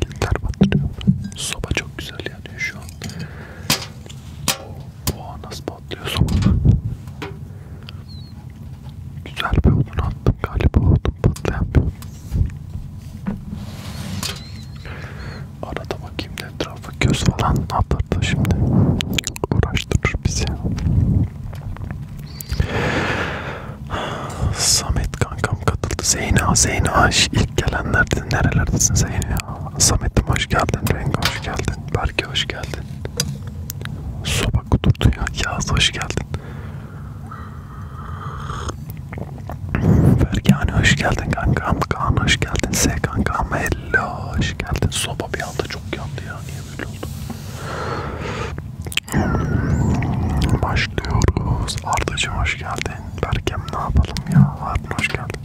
Giller batırıyor. Soba çok güzel yani şu an. Oha nasıl patlıyor soba? Güzel bir odun attım galiba odun patlayan bir odun. Arada bakayım da etrafa göz falan atardı şimdi. Uğraştırır bizi. Samet kankam katıldı. Zeyna, Zeyna ilk gelenlerden nerelerdesin Zeyna? Samet'im hoş geldin, Rengi hoş geldin, Berke hoş geldin. Soba kudurdu ya, Yağız hoş geldin. Berkane hoş geldin kankam, Kaan hoş geldin, S kankam, hello hoş geldin. Soba bir anda çok yandı ya, niye Başlıyoruz. Ardacım hoş geldin. Berkem ne yapalım ya? Harun hoş geldin.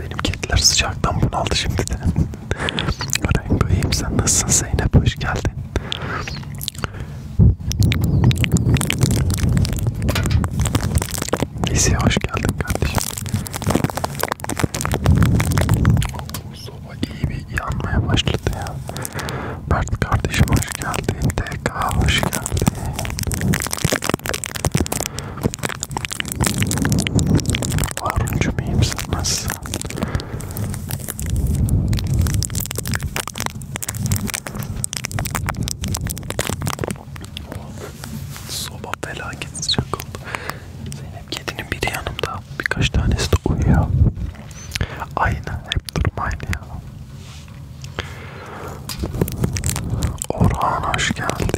Benim kediler sıcaktan bunaldı şimdi de. Rengo'yim sen nasılsın Zeynep hoş geldin. Lise hoş geldin kardeşim. Soba iyi bir yanmaya başladı ya. Mert kardeşim hoş geldin. TK hoş geldin. Haruncu miyim sen nasılsın? Soba felaket sıcak oldu. Sen Kedinin biri yanımda, birkaç tanesi de uyuyor. Aynı, hep durum aynı ya. Orhan hoş geldin.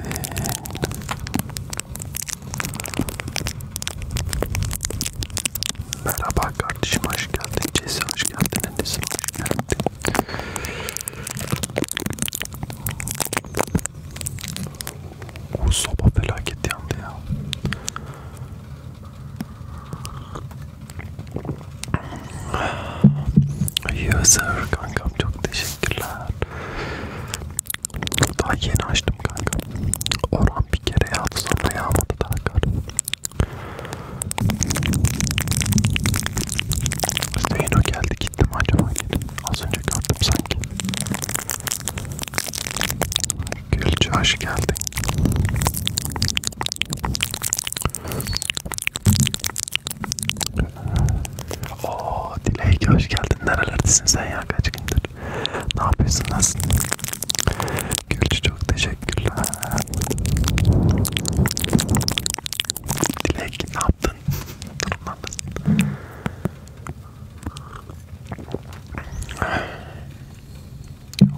Merhaba kardeşim hoş geldin. Ceysan hoş geldin. Annesin hoş geldin. O soba felaket yandı ya. Yazır kankam çok teşekkürler. Daha yeni açtım kanka. Orhan bir kere yağdı sonra yağmadı daha kar. Zeyno geldi gitti mi acaba? Az önce gördüm sanki. Gülçü hoş geldin. Oo Dilek hoş geldin. Nerelerdesin sen ya kaç gündür? Ne yapıyorsun nasılsın? Gülçü çok teşekkürler. Dilek ne yaptın? Durumlar nasıl?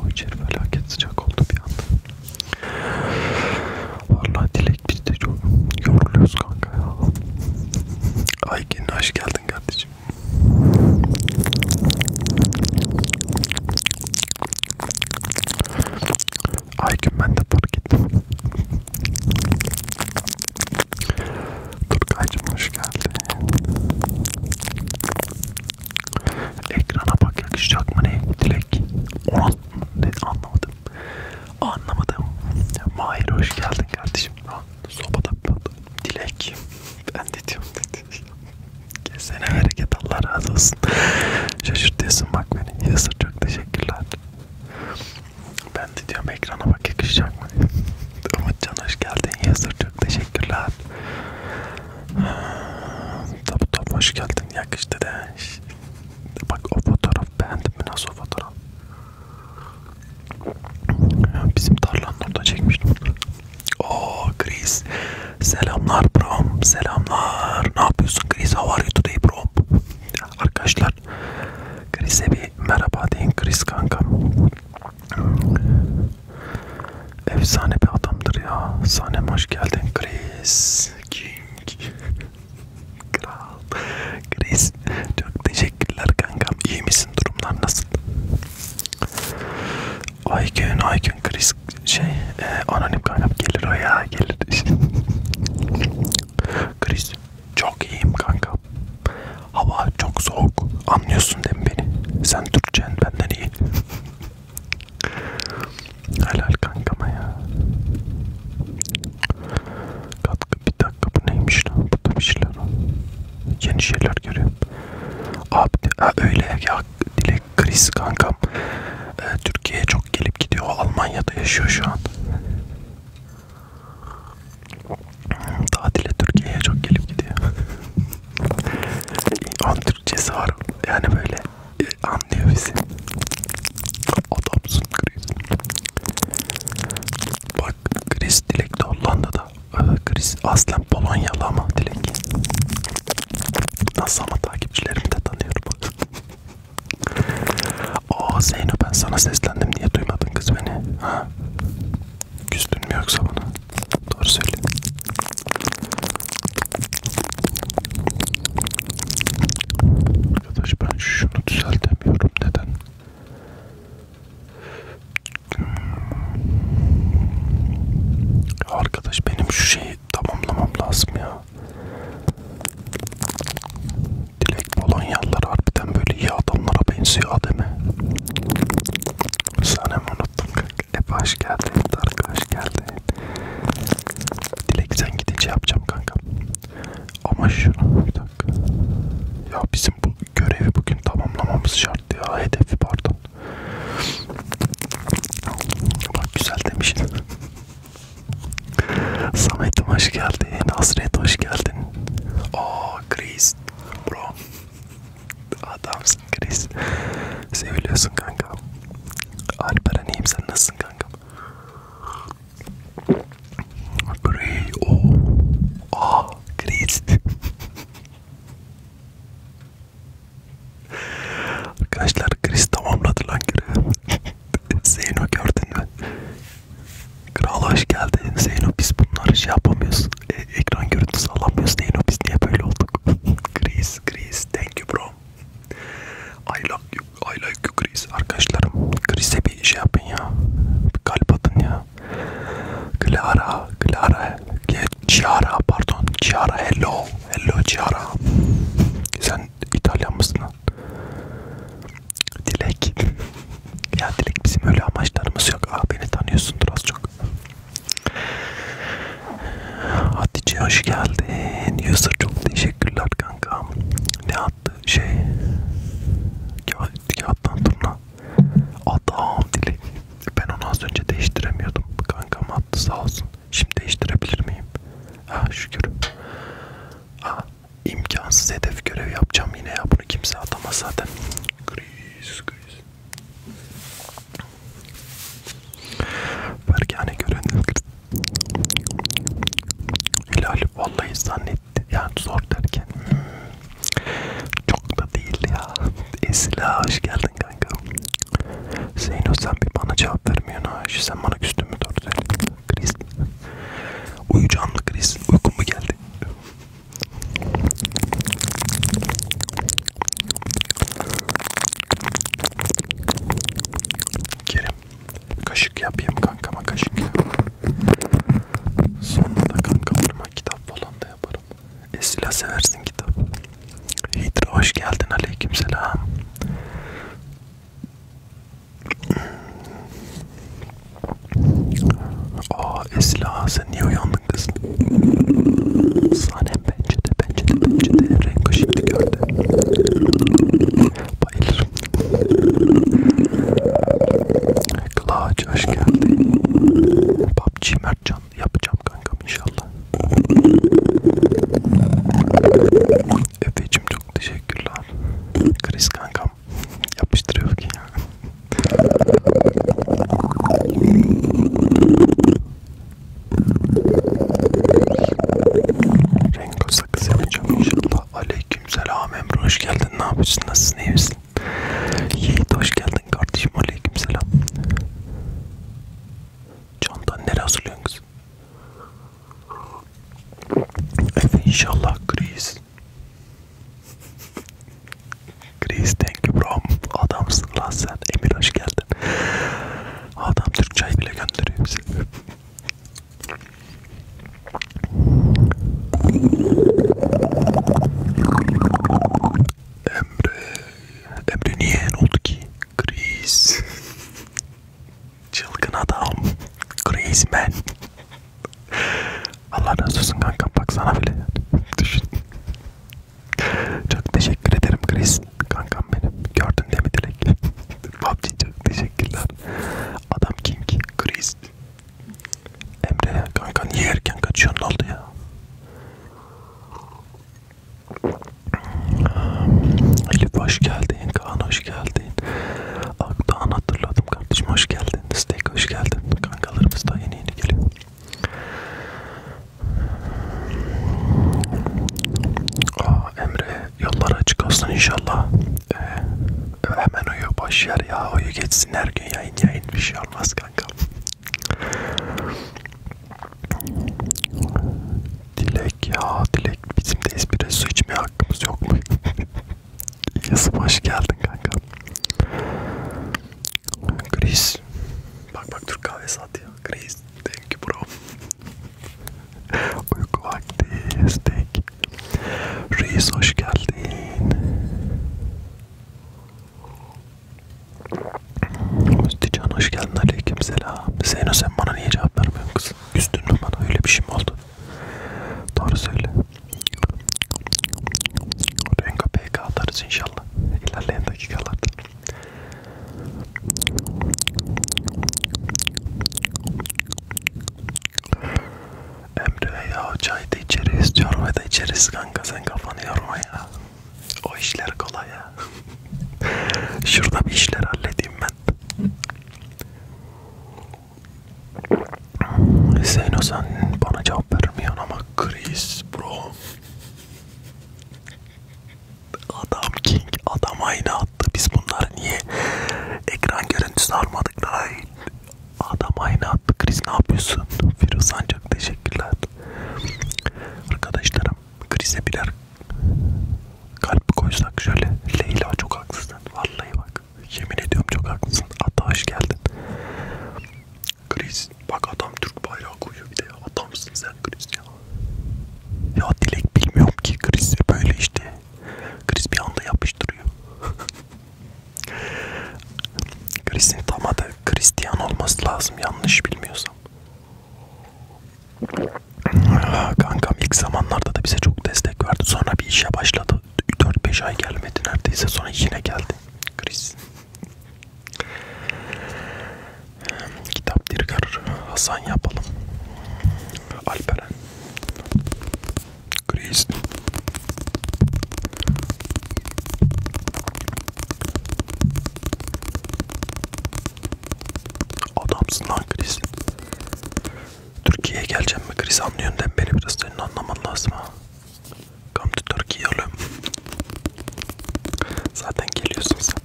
O içeri felaket sıcak oldu bir anda. Vallahi Dilek biz de çok yoruluyoruz kanka ya. Aykin hoş geldin kardeşim. Aygün ben de fark ettim. Turgay'cım hoş geldin. Ekrana bak yakışacak mı ne? Dilek. Ona ne anlamadım. Anlamadım. Mahir hoş geldin kardeşim. Ha, sobada patladı. Dilek. Ben de diyorum dedi. Kesene hareket Allah razı olsun. Şaşırtıyorsun bak beni. Yasır çok teşekkürler. Ben de diyorum ekrana bak yakışacak mı? Umutcan hoş geldin yazır çok teşekkürler. Tabi top hoş geldin yakıştı de. Bak o fotoğraf beğendim mi nasıl o fotoğraf? Bizim tarlanın orada çekmiştim. Oo Chris. Selamlar brom. Selamlar. Ne yapıyorsun Chris? How are you today brom? Arkadaşlar arkadaşlar. Chris'e bir merhaba deyin Chris kanka. Efsane bir adamdır ya. Sahnem hoş geldin Chris. King. Kral. Chris çok teşekkürler kankam. İyi misin? Durumlar nasıl? Aygün Aygün Chris şey e, anonim kankam gelir o ya gelir. Chris çok iyiyim kanka. Hava çok soğuk. Anlıyorsun değil mi beni? Sen Türkçen benden iyi. Helal kankama ya. Katkı bir dakika bu neymiş lan? Burada bir şeyler var. Yeni şeyler görüyorum. Abi ha, öyle ya Dilek Chris kankam. Ee, Türkiye'ye çok gelip gidiyor. Almanya'da yaşıyor şu an. Tatile Türkiye'ye çok gelip gidiyor. On Türkçesi var. Yani böyle e, anlıyor bizi. Adamsın Chris. Bak Chris Dilek de Hollanda'da. E, Chris aslen Polonyalı ama Dilek. Nasıl ama takipçilerimi de tanıyorum. Aa Zeyno ben sana seslendim niye duymadın kız beni? Ha? Küstün mü yoksa bana? Doğru söyle. Arkadaş ben şunu düzeltemiyorum. Neden? Hmm. Arkadaş benim şu şeyi tamamlamam lazım ya direkt Polonyalılar harbiden böyle iyi adamlara benziyor ademi. Sana mı unuttum kanka? Hep hoş geldin Dark, hoş geldin. Dilek sen gidince yapacağım kanka. Ama şunu bir dakika. Ya bizim bu görevi bugün tamamlamamız şart ya. Hedefi pardon. Bak güzel demiştin. Samet'im hoş geldin. Hasret hoş geldin. Aa Chris Bro. Adamsın Chris. Seviliyorsun kanka. Alperen iyiyim sen nasılsın kanka? Bray. Oh. Oh. Chris. Arkadaşlar Chris tamamladı lan görevi. Zeyno gördün mü? Kral hoş geldin. Zeyno biz bunları şey yapamıyoruz. E, ekran görüntüsü alamıyoruz. Zeyno biz niye böyle olduk? Chris, Chris, thank you bro. I like you, I like you Chris. Arkadaşlarım, Chris'e bir şey yapın ya. Bir kalp atın ya. Clara, Clara, Ciara pardon. Ciara, hello, hello Ciara. Sen İtalyan mısın? Dilek. Ya Dilek bizim öyle amaçlarımız yok. Ah beni tanıyorsundur az çok. Hatice hoş geldin. User çok teşekkürler kankam. Ne attı şey? Kağıt, kağıttan turna. Adam Dilek. Ben onu az önce değiştiremiyordum. Kankam attı sağ olsun. Şimdi değiştirebilir miyim? Ah şükür. Ah imkansız hedef görevi yapacağım yine ya. Bunu kimse atamaz zaten. Gri Jesus Christ. Berkane gören Hilal vallahi zannetti. Yani zor derken. Hmm. Çok da değil ya. Esila hoş geldin kanka. Zeyno sen bir bana cevap vermiyorsun ha. Sen bana küstün mü doğru söyle. Kriz. Uyucanlı kriz. Uykum mu geldi? Kerim kaşık yapayım kankama kaşık yap. Sonra da kankalarıma kitap falan da yaparım. Esila seversin kitap. Hidra hoş geldin aleykümselam. Aa Esla sen niye uyandın kız? Sanem pencede pencede pencede renk şimdi gördü. Bayılırım. Kılaaç hoş geldin. PUBG Mertcan yapacağım kankam inşallah. Efe'cim çok teşekkürler. Chris kanka ya. Yapıştırıyor ki ya. Rengo sakız yapacağım inşallah. Aleykümselam Emre hoş geldin. Ne yapıyorsun? Nasılsın? İyi misin? Yiğit hoş geldin kardeşim. Aleykümselam. Candan nereye hazırlıyorsun kızım? Efe inşallah kriz. Chris thank you bro. Adamsın lan sen. Emir hoş geldin. Adam Türk çay bile gönderiyor bize. Emre. Emre niye ne oldu ki? Chris. Çılgın adam. Chris man. Allah razı olsun kanka bak sana bile yani. düşün. Çok teşekkür ederim Chris kankam benim. Gördün değil mi Dilek? Babci çok teşekkürler. Adam King Chris. Emre kanka niye erken kaçıyorsun ne oldu ya? Elif hoş geldin, Kaan hoş geldin. Aktan hatırladım kardeşim hoş geldin. Steak hoş geldin. Kankalarımız da yeni yeni geliyor. Aa, Emre yollara açık olsun inşallah. Ee, hemen uyu boş yer ya uyu geçsin her gün yayın yayın bir şey olmaz kanka. Dilek ya Dilek bizim de espri su içmeye hakkımız yok mu? Yazıp hoş geldin kanka. Chris. Bak bak Türk kahvesi at ya. Chris. Thank you bro. Uyku vakti. Steak. Reis hoş geldin. Müstican hoş geldin. Aleyküm selam. Zeyno sen bana niye cevap vermiyorsun kız? Üstün mü bana? Öyle bir şey mi oldu? Doğru söyle. Renga PK atarız inşallah ilerleyen dakikalarda. Emre ya çay da içeriz, çorba da içeriz kanka sen kafanı yorma ya. O işler kolay ya. Şurada bir işler halledeyim ben. Hüseyin Ozan bana cevap vermiyorsun ama Chris bro. Adam King adam aynı attı. Biz bunlar niye ekran görüntüsü almadık da adam aynı attı. Chris ne yapıyorsun? Firuz ancak teşekkürler. Arkadaşlarım Chris'e birer kalp koysak şöyle. Leyla çok haksızsın. Vallahi bak. Yemin ediyorum çok haklısın. Hatta hoş geldin. Kriz. Bak adam Türk bayrağı koyuyor bir de ya. Adamsın sen Kriz ya. Ya Dilek bilmiyorum ki Kriz böyle işte. Kriz bir anda yapıştırıyor. Kriz'in tam adı Hristiyan olması lazım yanlış bilmiyorsam. Kankam ilk zamanlarda da bize çok destek verdi. Sonra bir işe başladı. 4-5 ay gelmedi neredeyse. Sonra yine geldi. Kriz. Kitap Dirgar Hasan yapalım. Alperen. Chris. Adamsın lan Chris. Türkiye'ye geleceğim mi Chris anlıyorsun değil mi? Beni biraz senin anlaman lazım ha. Come to Turkey oğlum. Zaten geliyorsun sen.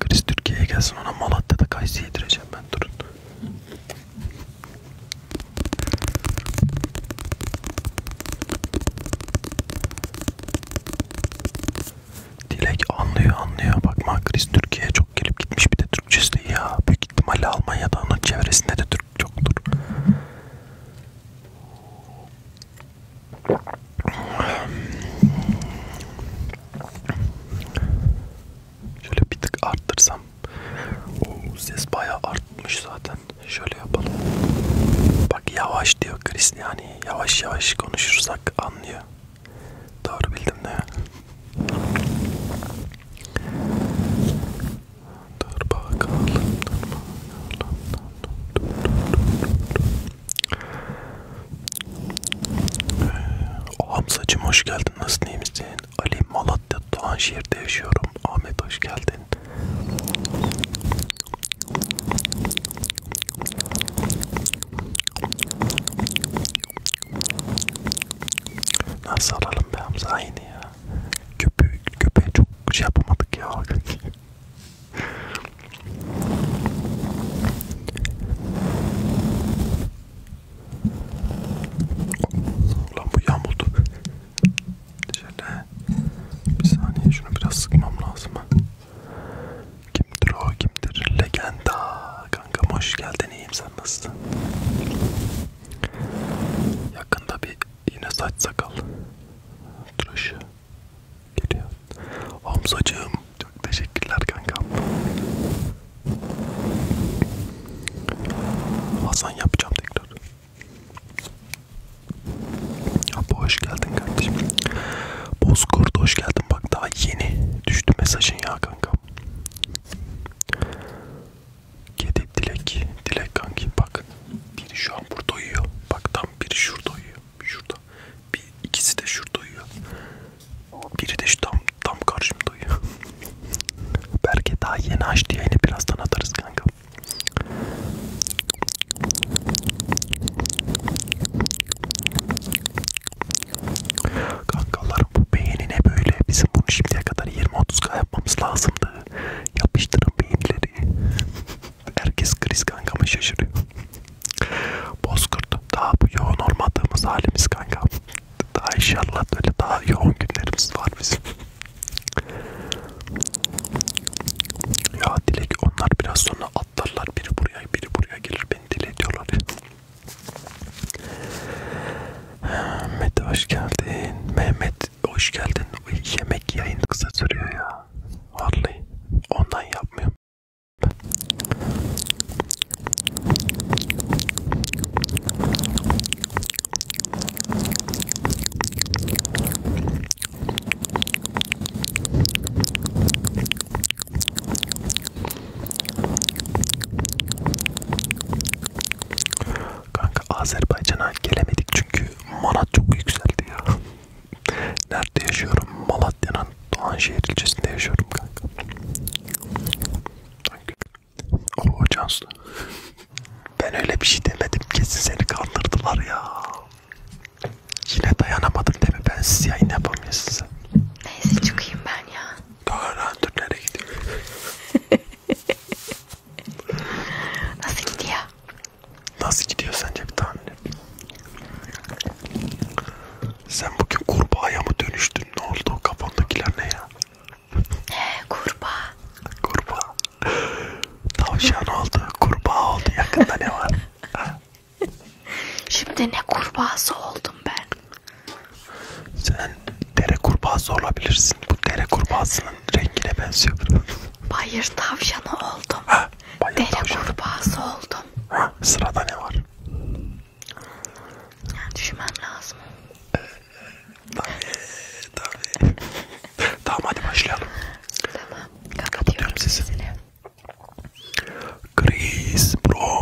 Chris Türkiye'ye gelsin ona Malatya'da kayısı yedireceğim ben durun. Dilek anlıyor anlıyor. Bakma Chris Türkiye'ye çok gelip gitmiş bir de Türkçesi ya. Büyük ihtimalle Almanya'da onun çevresinde de Türk çoktur, çoktur. Şöyle bir tık arttırsam. Oo, ses bayağı artmış zaten. Şöyle yapalım. Bak yavaş diyor Chris yani yavaş yavaş konuşursak anlıyor. Doğru bildim değil mi? Dur bakalım, dur bakalım. Dur, dur, dur, dur. Ee, Hamzacım hoş geldin. Nasılsın iyi misin? Ali Malatya Doğanşehir'de yaşıyorum. Ahmet hoş geldin. Nasıl alalım be Hamza aynı ya? Köpeği, köpeği çok şey yapamadık ya. Ulan bu yamuldu. Şöyle bir saniye şunu biraz sıkmam lazım. Kimdir o kimdir? Legenda. Kankam hoş geldin iyiyim sen nasılsın? Yakında bir yine saç sakal tıraşı geliyor. Omzacığım çok teşekkürler kankam. Hasan yapacağım tekrar. Abi hoş geldin kardeşim. Bozkurt hoş geldin. Bak daha yeni düştü mesajın ya kankam. Kedi Dilek. Dilek kanki bak. Biri şu an burada uyuyor. Bak tam biri şurada uyuyor. Şurada. Bir, ikisi de şurada uyuyor. Biri de şu tam, tam karşımda uyuyor. Belki daha yeni açtı yayını birazdan atarız kanka. Kankalar bu beğeni ne böyle? Bizim bunu şimdiye kadar 20-30k yapmamız lazımdı. Yapıştırın beyinleri. Herkes kriz kankama şaşırıyor. Bozkurt daha bu yoğun olmadığımız halimiz kanka. Daha inşallah böyle daha yoğun günlerimiz var bizim. Ya Dilek onlar biraz sonra atlarlar biri buraya biri buraya gelir beni dile ediyorlar. Mete hoş geldin. Mehmet hoş geldin. Yemek yayın kısa sürüyor ya. Vallahi ondan yapmıyorum. Kanka Azerbaycan'a gelemedik çünkü manat çok yükseldi ya. Nerede yaşıyorum? Malatya'nın Doğanşehir ilçesinde yaşıyorum kanka. Oo Cansu. Ben öyle bir şey demedim kesin seni kandırdılar ya. Yine dayanamadım değil mi? Ben siz yayın yapamıyorsunuz. Neyse çıkayım ben ya. Doğru, dur nereye gidiyorum? Nasıl gidiyor? Nasıl gidiyor sence bir tahmin et. Sen bugün kurbağaya mı dönüştün? Ne oldu? Kafandakiler ne ya? Ee, kurbağa. Kurbağa. Tavşan oldu. Kurbağa oldu. Yakında ne var? Şimdi ne kurbağası oldum ben. Sen sen dere kurbağası olabilirsin. Bu dere kurbağasının rengine benziyor. Bayır tavşanı oldum. Ha, bayır dere tavşanı. kurbağası oldum. Ha, sırada ne var? Yani düşünmem lazım. Ee, tabii, tabii. tamam hadi başlayalım. Tamam, kapatıyorum sesini. Chris, bro,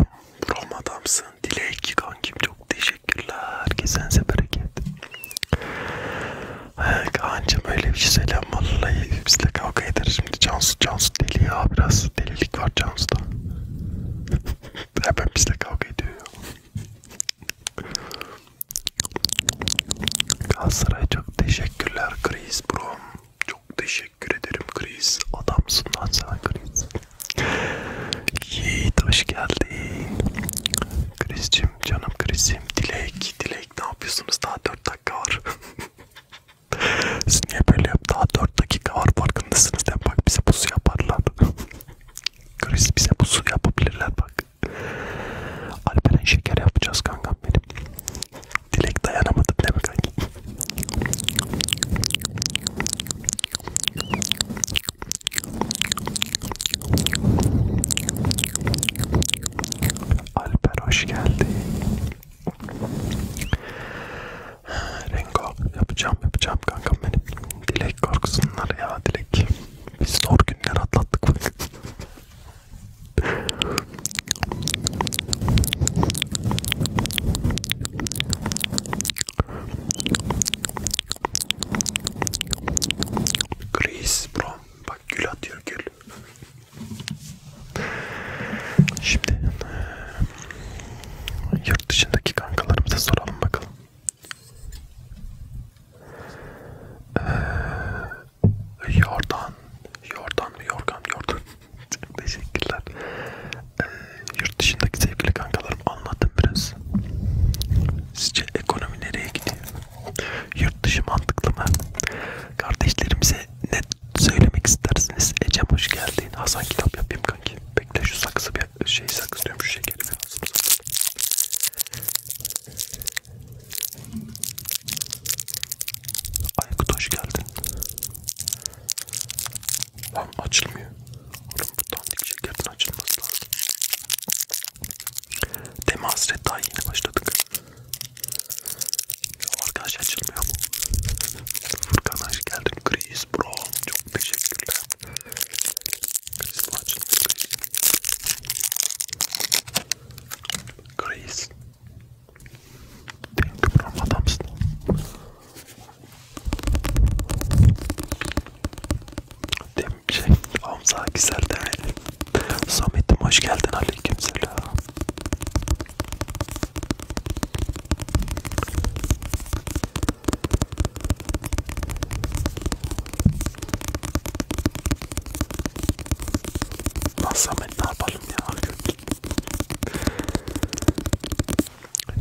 bro adamsın. Dilek kankim çok teşekkürler. Kesenize bereket. Kaan'cım öyle bir şey söylem vallahi bizle kavga eder şimdi Cansu Cansu deli ya biraz delilik var Cansu'da hemen bizle kavga ediyor ya Galatasaray çok teşekkürler Chris bro çok teşekkür ederim Chris adamsın lan sen Chris Yiğit hoş geldin Chris'cim Krisim, canım Krisim, Dilek, Dilek ne yapıyorsunuz? Daha 4 dakika var. Siz niye böyle yap? Daha 4 dakika var farkındasınız değil mi? Bak bize pusu yaparlar. Kris bize pusu yapabilirler bak. Alperen şeker yapacağız kankam benim. Dilek dayanamadım değil mi kanki? Alper hoş geldin. Rengo yapacağım yapacağım kankam benim. Dilek korksunlar ya Dilek. Biz zor günler atlattık bak. Chris bro. Bak gül atıyor gül. Şimdi yurt dışındaki kankalarımıza soralım bakalım. Ee, yordan, yordan mı yorgan, yordan. Teşekkürler. Ee, yurt dışındaki sevgili kankalarım anlattım biraz. Sizce ekonomi nereye gidiyor? Yurt dışı mantıklı mı? Kardeşlerimize ne söylemek istersiniz? Ecem hoş geldin. Hasan kitap yapayım kanki. Bekle şu saksı bir şey saksı diyorum şu şekeri bir ağzımıza. Aykut hoş geldin. Lan açılmıyor. Oğlum bu dandik şekerden açılması lazım. Deme hasret daha yeni başladık. Arkadaş açılmıyor mu? Furkan hoş geldin. Chris bro. Çok teşekkürler. Chris bu açılmıyor. Chris. Benim kıpırım adamsın. Demin bir şey. Hamza güzel demeli. Samet'im hoş geldin. Aleykümselam. Lan Samet ne yapalım ya?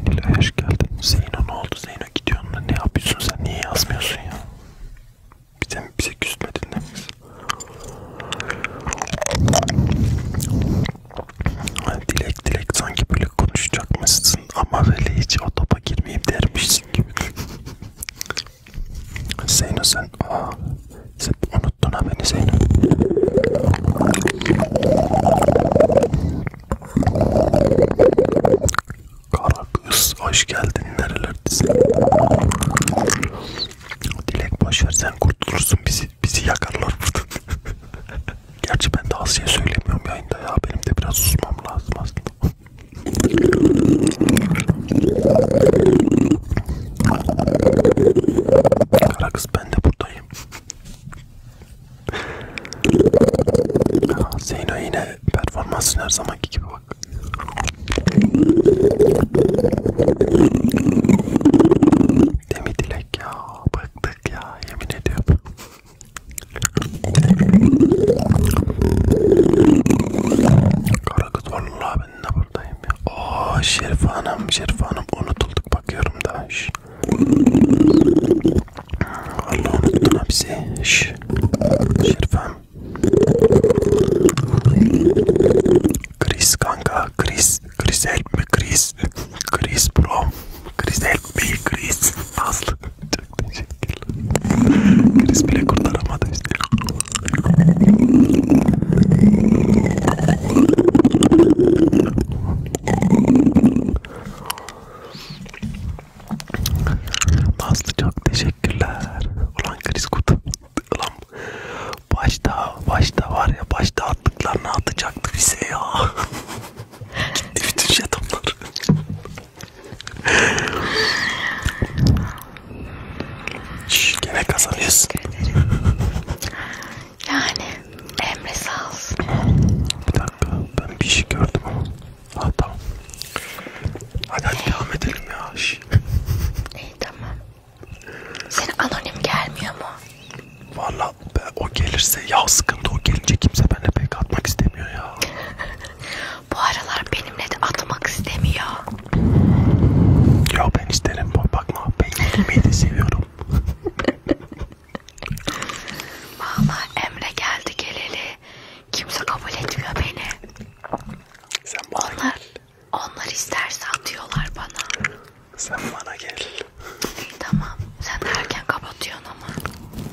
Nilay hoş geldin. Zeyno ne oldu? Zeyno gidiyorsun. Ne yapıyorsun sen? Niye yazmıyorsun ya? bize, bize küsmedin demek. Dilek dilek sanki böyle konuşacakmışsın ama böyle hiç o topa girmeyeyim dermişsin gibi. Zeyno sen, aa, sen unuttun ha beni Zeyno. Kara kız hoş geldin nerelerdesin? Dilek boşver sen kurtulursun bizi bizi yakarlar burada. Gerçi ben de Asya'ya söylemiyorum yayında ya benim de biraz susmam lazım aslında. Kara kız ben de buradayım. Zeyno yine performansın her zamanki gibi bak. Demi Dilek ya bıktık ya yemin ediyorum. Karakız vallahi ben de buradayım ya. Oo Şerif Hanım, Şerif Hanım unutulduk bakıyorum da. Şş. Vallahi unuttun hapsi. Şş. Şerif Hanım Chris kanka, Chris, Chris help me Chris, Chris bro, Chris help me Chris. Nasıl? Çok teşekkürler. Chris bile kurtaramadı işte. Nazlı çok teşekkürler. Ulan kriz kutu. Ulan başta başta var ya başta attıklarını atacaktı bize ya. Gitti bütün jetonlar. Şey Şşş gene kazanıyorsun. Yani Emre sağ olsun. Bir dakika ben bir şey gördüm ama. Ha tamam. Hadi hadi devam edelim ya. İyi tamam. Senin anonim gelmiyor mu? Valla o gelirse ya sıkıntı o gelince kimse benimle pek atmak istemiyor ya. Bu aralar benimle de atmak istemiyor. Ya ben isterim bakma ben gülmeyi de seviyorum. Valla Emre geldi geleli kimse kabul etmiyor beni. Sen bana onlar, gel. Onlar isterse atıyorlar bana. Sen bana gel. tamam. Sen de erken kapatıyorsun ama.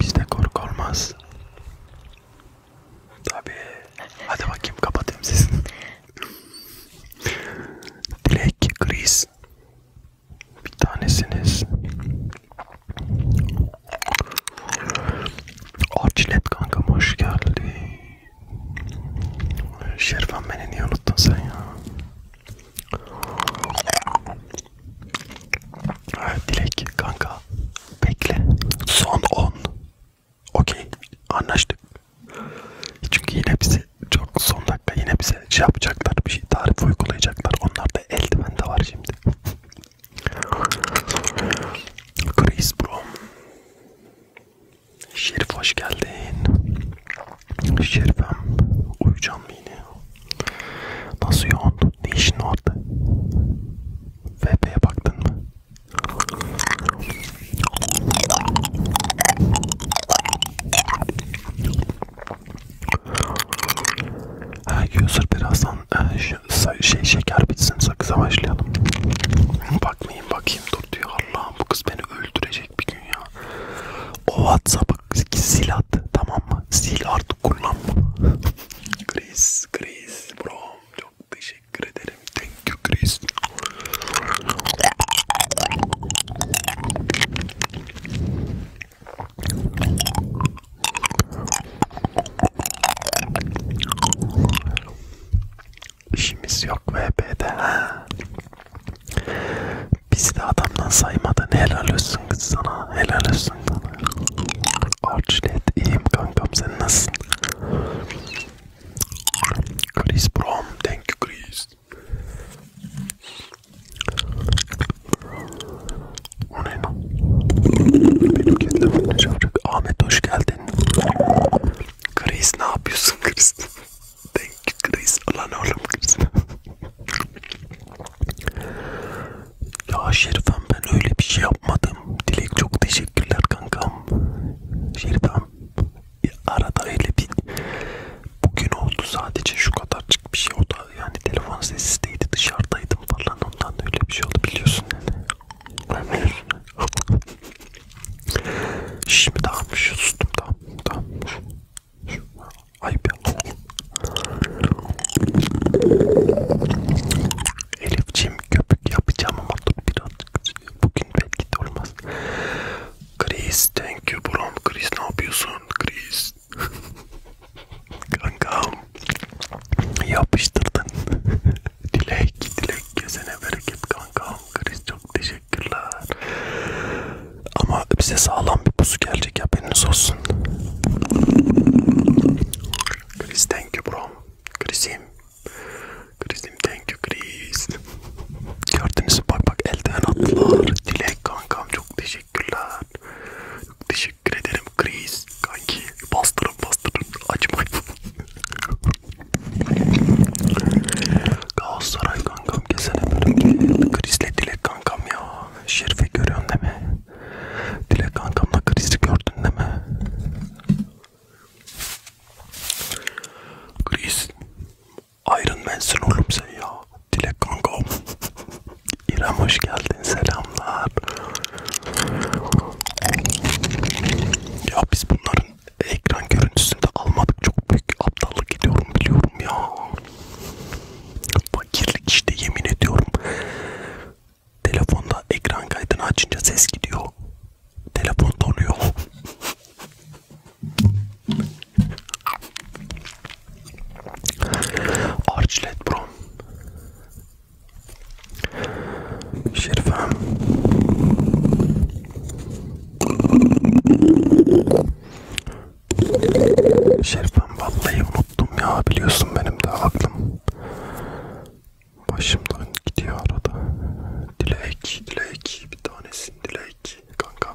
Bizde korku olmaz. Tabii. Hadi bakayım kapatayım sesini. Dilek, Chris. Bir tanesiniz. Arçilet kankam hoş geldin. Şerifan beni niye unuttun sen ya? Evet, Dilek kanka bekle. Son 10. Okey anlaştık. Çünkü yine bize çok son dakika yine bize şey yapacaklar bir şey tarif uygulayacaklar. Onlarda eldiven de var şimdi. Chris Brom Şerif hoş geldin Şerifem uyucan mı yine Nasıl yoğun ne işin orada VP'ye baktın mı Ha user birazdan e, şey şeker bitsin sakıza başlayalım. Bakmayın bakayım dur diyor Allah'ım bu kız beni öldürecek bir gün ya. O WhatsApp'ı sil at tamam mı? Sil artık kullanma. Chris, Chris bro çok teşekkür ederim. Thank you Chris. İşimiz yok VP'de ha. Bizi de adamdan saymadın. Helal olsun kız sana. Helal olsun sana. Archlet iyiyim kankam sen nasılsın? Chris Brom. Thank you Chris. O ne lan? Benim kedilerim ne Ahmet hoş geldin. Grace ne yapıyorsun Grace? Thank you Grace. Lan oğlum Grace. ya Şerifem ben öyle bir şey yapmadım. Dilek çok teşekkürler kankam. Şerifem ya arada öyle bir bugün oldu sadece şu kadarcık bir şey o da yani telefon sessizliğiydi dışarıdaydım falan ondan da öyle bir şey oldu biliyorsun yani. Şimdi takmış, şey sustum tam, tam. Ayıp ya. Elifciğim köpük yapacağım ama dur birazcık. Bugün belki de olmaz. Chris, thank you bro. Chris ne yapıyorsun? Chris. Kankam. Yapıştırdın. dilek, dilek. Tek gezene bereket kankam. Chris çok teşekkürler. Ama bize sağlam bir pusu gelecek haberiniz olsun. Chris thank you bro. Chris'im. Chris'im thank you Chris. Gördünüz mü? Bak bak elden attılar. Dilek kankam çok teşekkürler. Çok teşekkür ederim Chris. Kanki bastırın bastırın. Açmayın. Galatasaray kankam kesene böyle krizle Dilek kankam ya. Şerife görüyorsun değil mi? Dilek kankamla krizi gördün değil mi? Kriz. Iron Man'sin oğlum sen ya. Dilek kankam. İrem hoş geldin selamlar. Ya biz bunların ekran görüntüsünde almadık çok büyük aptallık ediyorum biliyorum ya. Fakirlik işte yemin ediyorum. Telefonda ekran kaydını açınca ses gidiyor. Telefon donuyor. Archlet Brom Şerifem. Şerifem vallahi unuttum ya biliyorsun benim de aklım başımdan gidiyor arada. Dilek, dilek bir tanesin dilek kanka.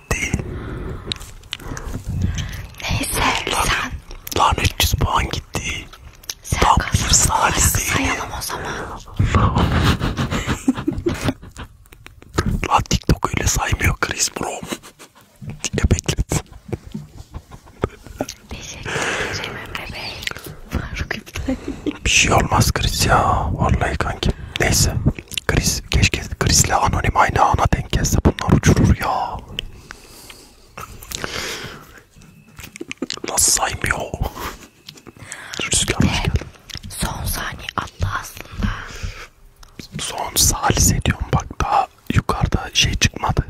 ait değil. Neyse Lan, sen. Lanet 100 puan gitti. Sen Tam bir salih değil. Sayalım o zaman. Lan TikTok öyle saymıyor Chris Brom. Diye bekledim. Teşekkür ederim Emre Bey. Faruk Bir şey olmaz Chris ya. Vallahi kanki. Neyse. Chris, keşke Chris'le anonim aynı ana denk gelse bunlar uçurur ya. Nasıl saymıyor? Rüzgar hoş geldin. Son saniye attı aslında. Son salise diyorum bak daha yukarıda şey çıkmadı.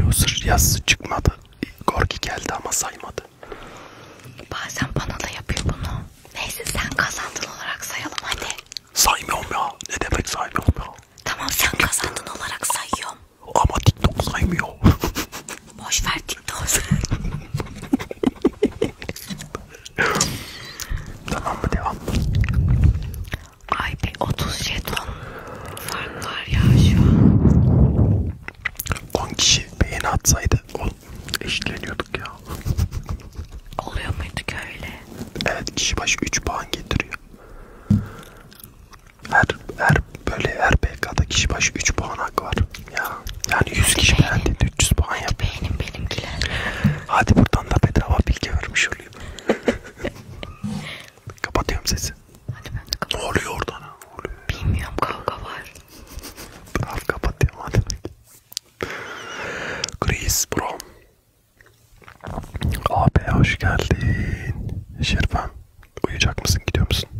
Loser yazısı çıkmadı. Gorgi geldi ama saymadı. Bazen bana da yapıyor bunu. Neyse sen kazandın olarak sayalım hadi. Saymıyorum ya. Ne demek saymıyorum ya? Tamam sen kazandın olarak sayıyorum. Ama TikTok saymıyor. Boş ver TikTok. tamam mı devam? Ay bir 30 jeton fark var ya şu an. 10 kişi beğeni atsaydı eşitleniyorduk ya. Oluyor muydu ki öyle? Evet kişi başı 3 puan getiriyor. Her, her böyle her PK'da kişi başı 3 puan hakkı var. Ya yani 100 kişi beğendi 300 puan yap. Beğenin benimkiler. Hadi buradan da bedava bilgi vermiş oluyor. Kapatıyorum sesi. Hadi ben de kapat. Ne oluyor oradan? Ne oluyor? Bilmiyorum kavga var. Bravo kapatıyorum hadi. Chris Brom Abi hoş geldin. Şirvan uyuyacak mısın gidiyor musun?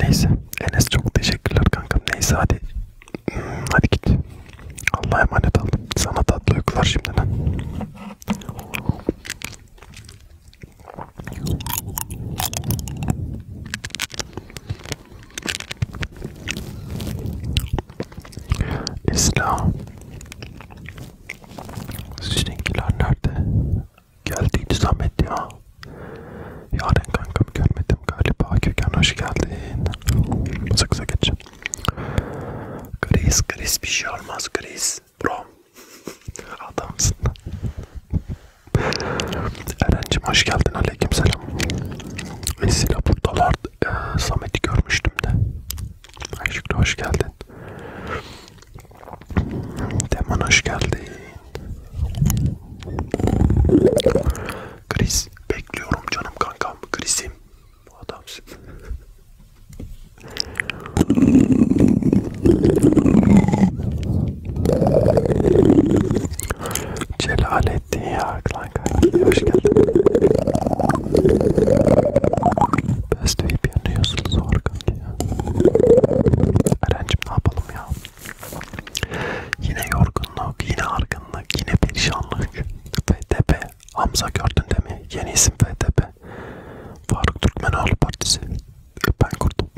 Neyse Enes çok teşekkürler kankam. Neyse hadi. Hmm, hadi git. Allah'a emanet ol. Sana tatlı uykular şimdiden. İslam Sizinkiler nerede? Geldiydi Samet ya Yarın kankam görmedim galiba Köken hoş geldin Sık sık geç Gris gris bir şey olmaz gris Bro Adamsın Eren'cim hoş geldin aleyküm selam Esila buradalar e, Samet'i görmüştüm de. Ayşıklı hoş geldin. Deman hoş geldin. Chris bekliyorum canım kankam. Chris'im adamsın. Celal ettin ya Klan Kaynaklı'ya hoş geldin. Besteyip yanıyorsunuz organ diye. Erencim ne yapalım ya? Yine yorgunluk, yine argınlık, yine perişanlık. FTP, Hamza gördün değil mi? Yeni isim FTP. Faruk Türkmenoğlu Partisi. Ben kurdum.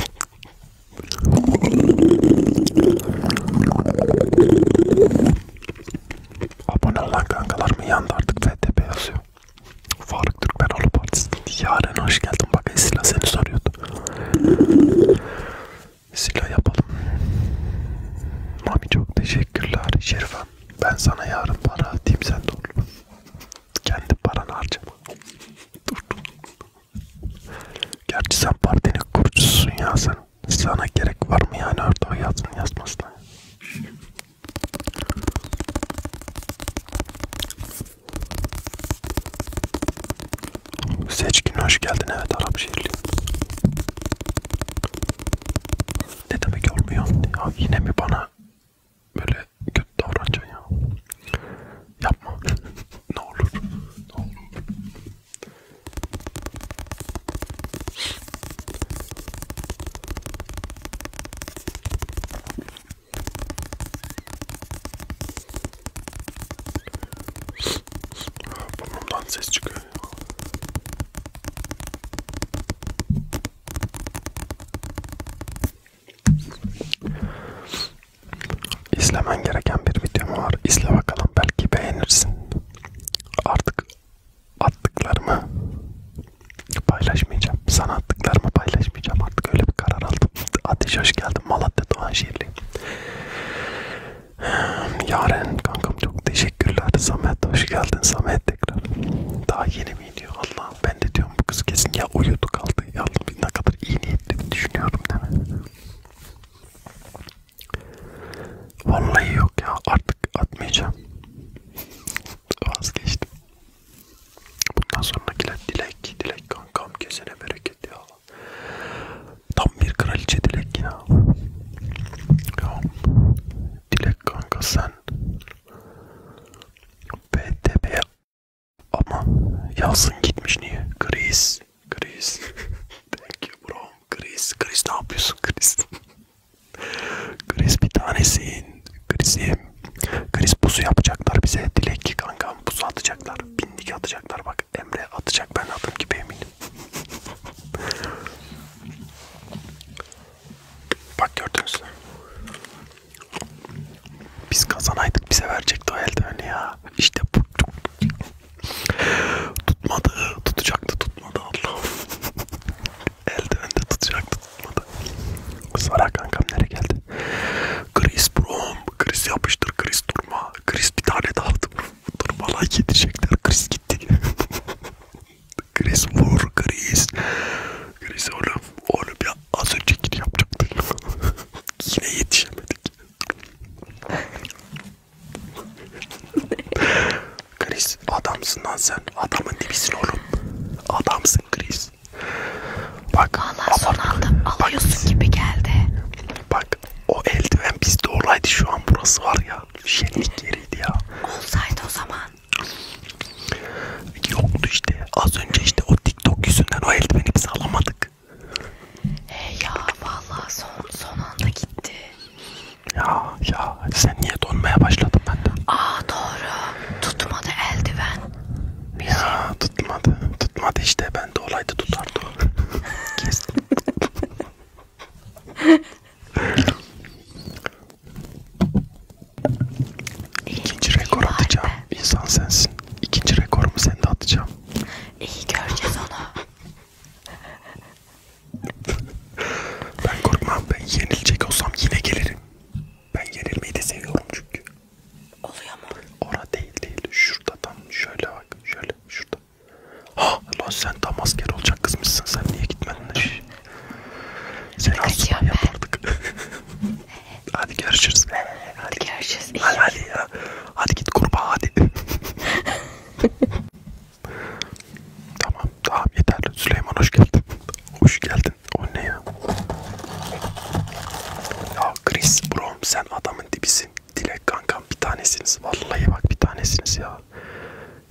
Abone olan kankalar mı yandı artık FTP yazıyor. Faruk Türkmen Olu Partisi. Yaren hoş geldin. Bak Esila seni soruyordu. Esila yapalım. Mami çok teşekkürler. Şerifem ben sana yarın para atayım sen de olur. Kendi paranı harcama. Dur. Gerçi sen partinin kurucususun ya sen sana gerek var mı yani orada yazın yazmasına? Seçkin hoş geldin evet Arap şehirli. Ne demek olmuyor? Ya yine mi bana böyle kötü davranacaksın ya? Yapma. ne olur. Ne olur. Burnumdan ses çıkıyor. İzlemen gereken bir videom var. İzle bakalım belki beğenirsin. Artık attıklarımı paylaşmayacağım. Sana attıklarımı paylaşmayacağım. Artık öyle bir karar aldım. Ateş hoş geldin Malatya Doğanşehirli. Yaren kankam çok teşekkürler. Samet hoş geldin. Samet tekrar. Daha yeni mi iniyor? Allah ben de diyorum bu kız kesin ya uyudu kaldı. Ya ne kadar iyi niyetli düşünüyorum değil mi? Vallahi yok ya artık atmayacağım. Vazgeçtim. Bundan sonrakiler dilek, dilek kankam kesene bereket ya. Tam bir kraliçe dilek ya. ya. Dilek kanka sen BTB ama yazın gitmiş niye? Kriz, kriz. Thank you bro. Kriz, kriz ne yapıyorsun kriz? Chris bir tanesin. Chris'im. Chris buzu yapacaklar bize. Dilek ki kankam buzu atacaklar. Bindik atacaklar bak. Emre atacak ben adım gibi eminim. bak gördünüz mü? Biz kazanaydık bize verecekti o eldiveni ya. İşte bu. Tutmadı. Tutacaktı tutmadı Allah'ım. Eldivende tutacaktı tutmadı. Salah kankam nereye geldi? Chris Brom, Chris yapıştır, Chris durma. Chris bir tane daha dur. Durma like yetecekler, Chris gitti. Chris vur, Chris. Chris oğlum, oğlum ya az önce git yapacaktın. Yine yetişemedik. Chris adamsın lan sen. Adamın dibisin oğlum. Adamsın Chris. Bak. Valla son anda alıyorsun bak, gibi geldi. Bak o eldiven bizde olaydı şu an burası var ya. Şenlik yeriydi ya. Olsaydı o zaman. Yoktu işte. Az önce işte o TikTok yüzünden o eldiveni biz alamadık. Hey ya vallahi son son anda gitti. Ya ya sen niye donmaya başladın benden? Aa doğru. Tutmadı eldiven. Bizi. Ya tutmadı. Tutmadı işte. Ben de olaydı tutardı. Kestim. İkinci iyi, rekor iyi atacağım. Be. İnsan sensin. İkinci rekorumu sende atacağım. İyi göreceğiz onu ben korkmam. Ben yenilecek olsam yine gelirim. Ben yenilmeyi de seviyorum çünkü. Oluyor mu? Orada değil değil. Şurada tam şöyle bak. Şöyle şurada. Ha lan sen tam asker olacak kızmışsın. Sen niye gitmedin de? Seni asla yapardık. hadi görüşürüz. Hadi, hadi görüşürüz. Hadi, hadi ya. Hadi git kurbağa hadi. Tamam tamam yeter. Süleyman hoş geldin. Hoş geldin. O ne ya? Ya Chris Brom sen adamın dibisin. Dilek kankam bir tanesiniz. Vallahi bak bir tanesiniz ya.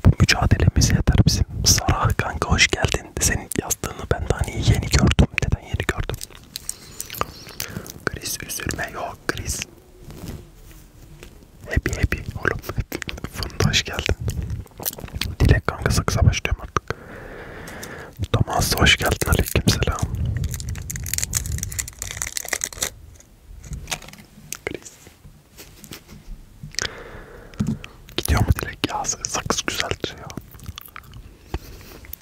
Bu mücadelemiz yeter bizim. Sarah kanka hoş geldin. Senin yazdığını ben daha hani yeni gördüm. Neden yeni gördüm? Chris üzülme yok Chris. Happy happy oğlum. Funda hoş geldin. Dilek kanka saksa başlıyorum artık. Thomas hoş geldin aleykümselam. Gidiyor mu Dilek ya? Sakız güzel duruyor.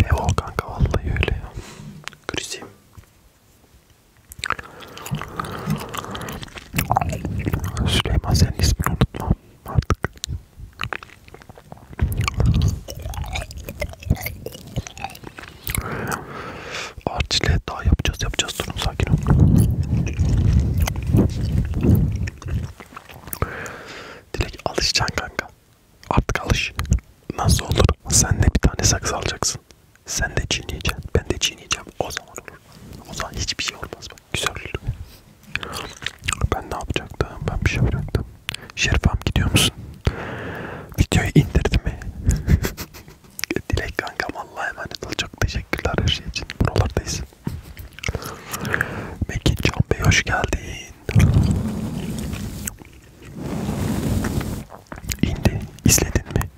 Dev ol kanka vallahi öyle ya. Krisim. Süleyman senin ismini unutmam artık. Arçile daha yapacağız yapacağız durun sakin olun. Dilek alışacaksın kanka. Artık alış. Nasıl olur? Sen de bir tane saksı alacaksın. Sen de çiğneyeceksin. Ben de çiğneyeceğim. O zaman olur. O zaman hiçbir şey olmaz. Güzel. Ben ne yapacaktım? Ben bir şey yapacaktım. Şerifam gidiyor musun? Videoyu indirdi mi? Dilek kankam Allah'a emanet ol. Çok teşekkürler her şey için. Buralardayız. Mekin Can Bey hoş geldin. İndi. İzledin mi?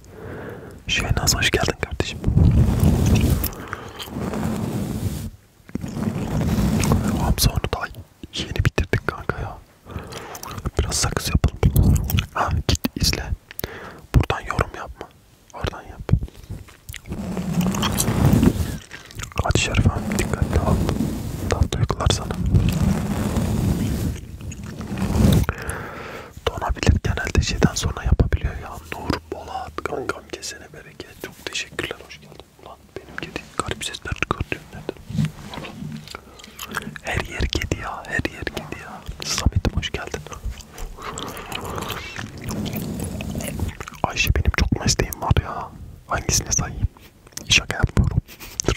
Şehnaz hoş geldin kardeşim. Hamza onu daha yeni bitirdik kanka ya. Biraz sakız yapalım. Ha git izle. Buradan yorum yapma. Oradan yap. Hadi Şerif abi dikkatli ol. Tatlı uykular sana. Donabilir genelde şeyden sonra yapabiliyor ya. Nur Bolat kanka. Kankam kesene bereket. Çok teşekkürler. Hoş geldin. Ulan benim kedi garip sesler çıkartıyor nereden? Her yer kedi ya. Her yer kedi ya. Samet'im hoş geldin. Ayşe benim çok mesleğim var ya. Hangisine sayayım? Şaka yapmıyorum.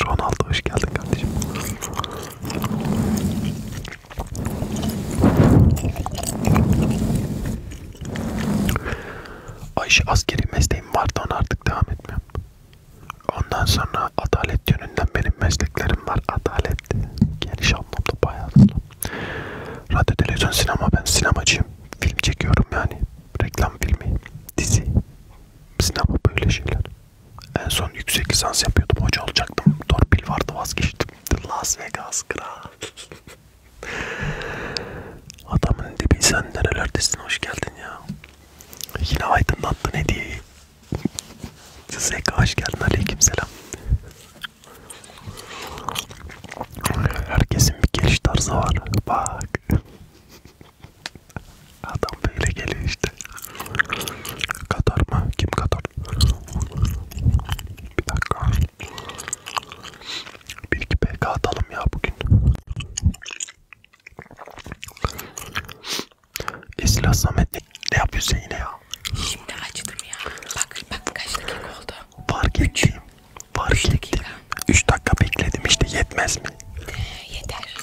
Ronaldo hoş geldin kardeşim. Ayşe askeri mesleğim vardı ona artık devam etmiyorum. Ondan sonra adalet yönünden benim mesleklerim var. Adalet geliş anlamda bayağı Radyo, televizyon, sinema. Ben sinemacıyım. Film çekiyorum yani. Reklam filmi, dizi, sinema böyle şeyler. En son yüksek lisans yapıyordum. Hoca olacaktım. Torpil vardı vazgeçtim. Las Vegas kral. Adamın dibi sen nerelerdesin hoş geldin ya. Yine aydınlattın hediyeyi. Zeka hoş geldin aleyküm selam. Herkesin bir geliş tarzı var. Bak. Adam böyle geliyor işte. Katar mı? Kim Katar? Bir dakika. Bir iki PK atalım ya bugün. Esra Samet ne, ne yapıyorsun yine ya? Şimdi açtım ya. Bak bak kaç dakika oldu. Fark ettim. Fark Üç ettim. 3 dakika bekledim işte yetmez mi? Ee, yeter.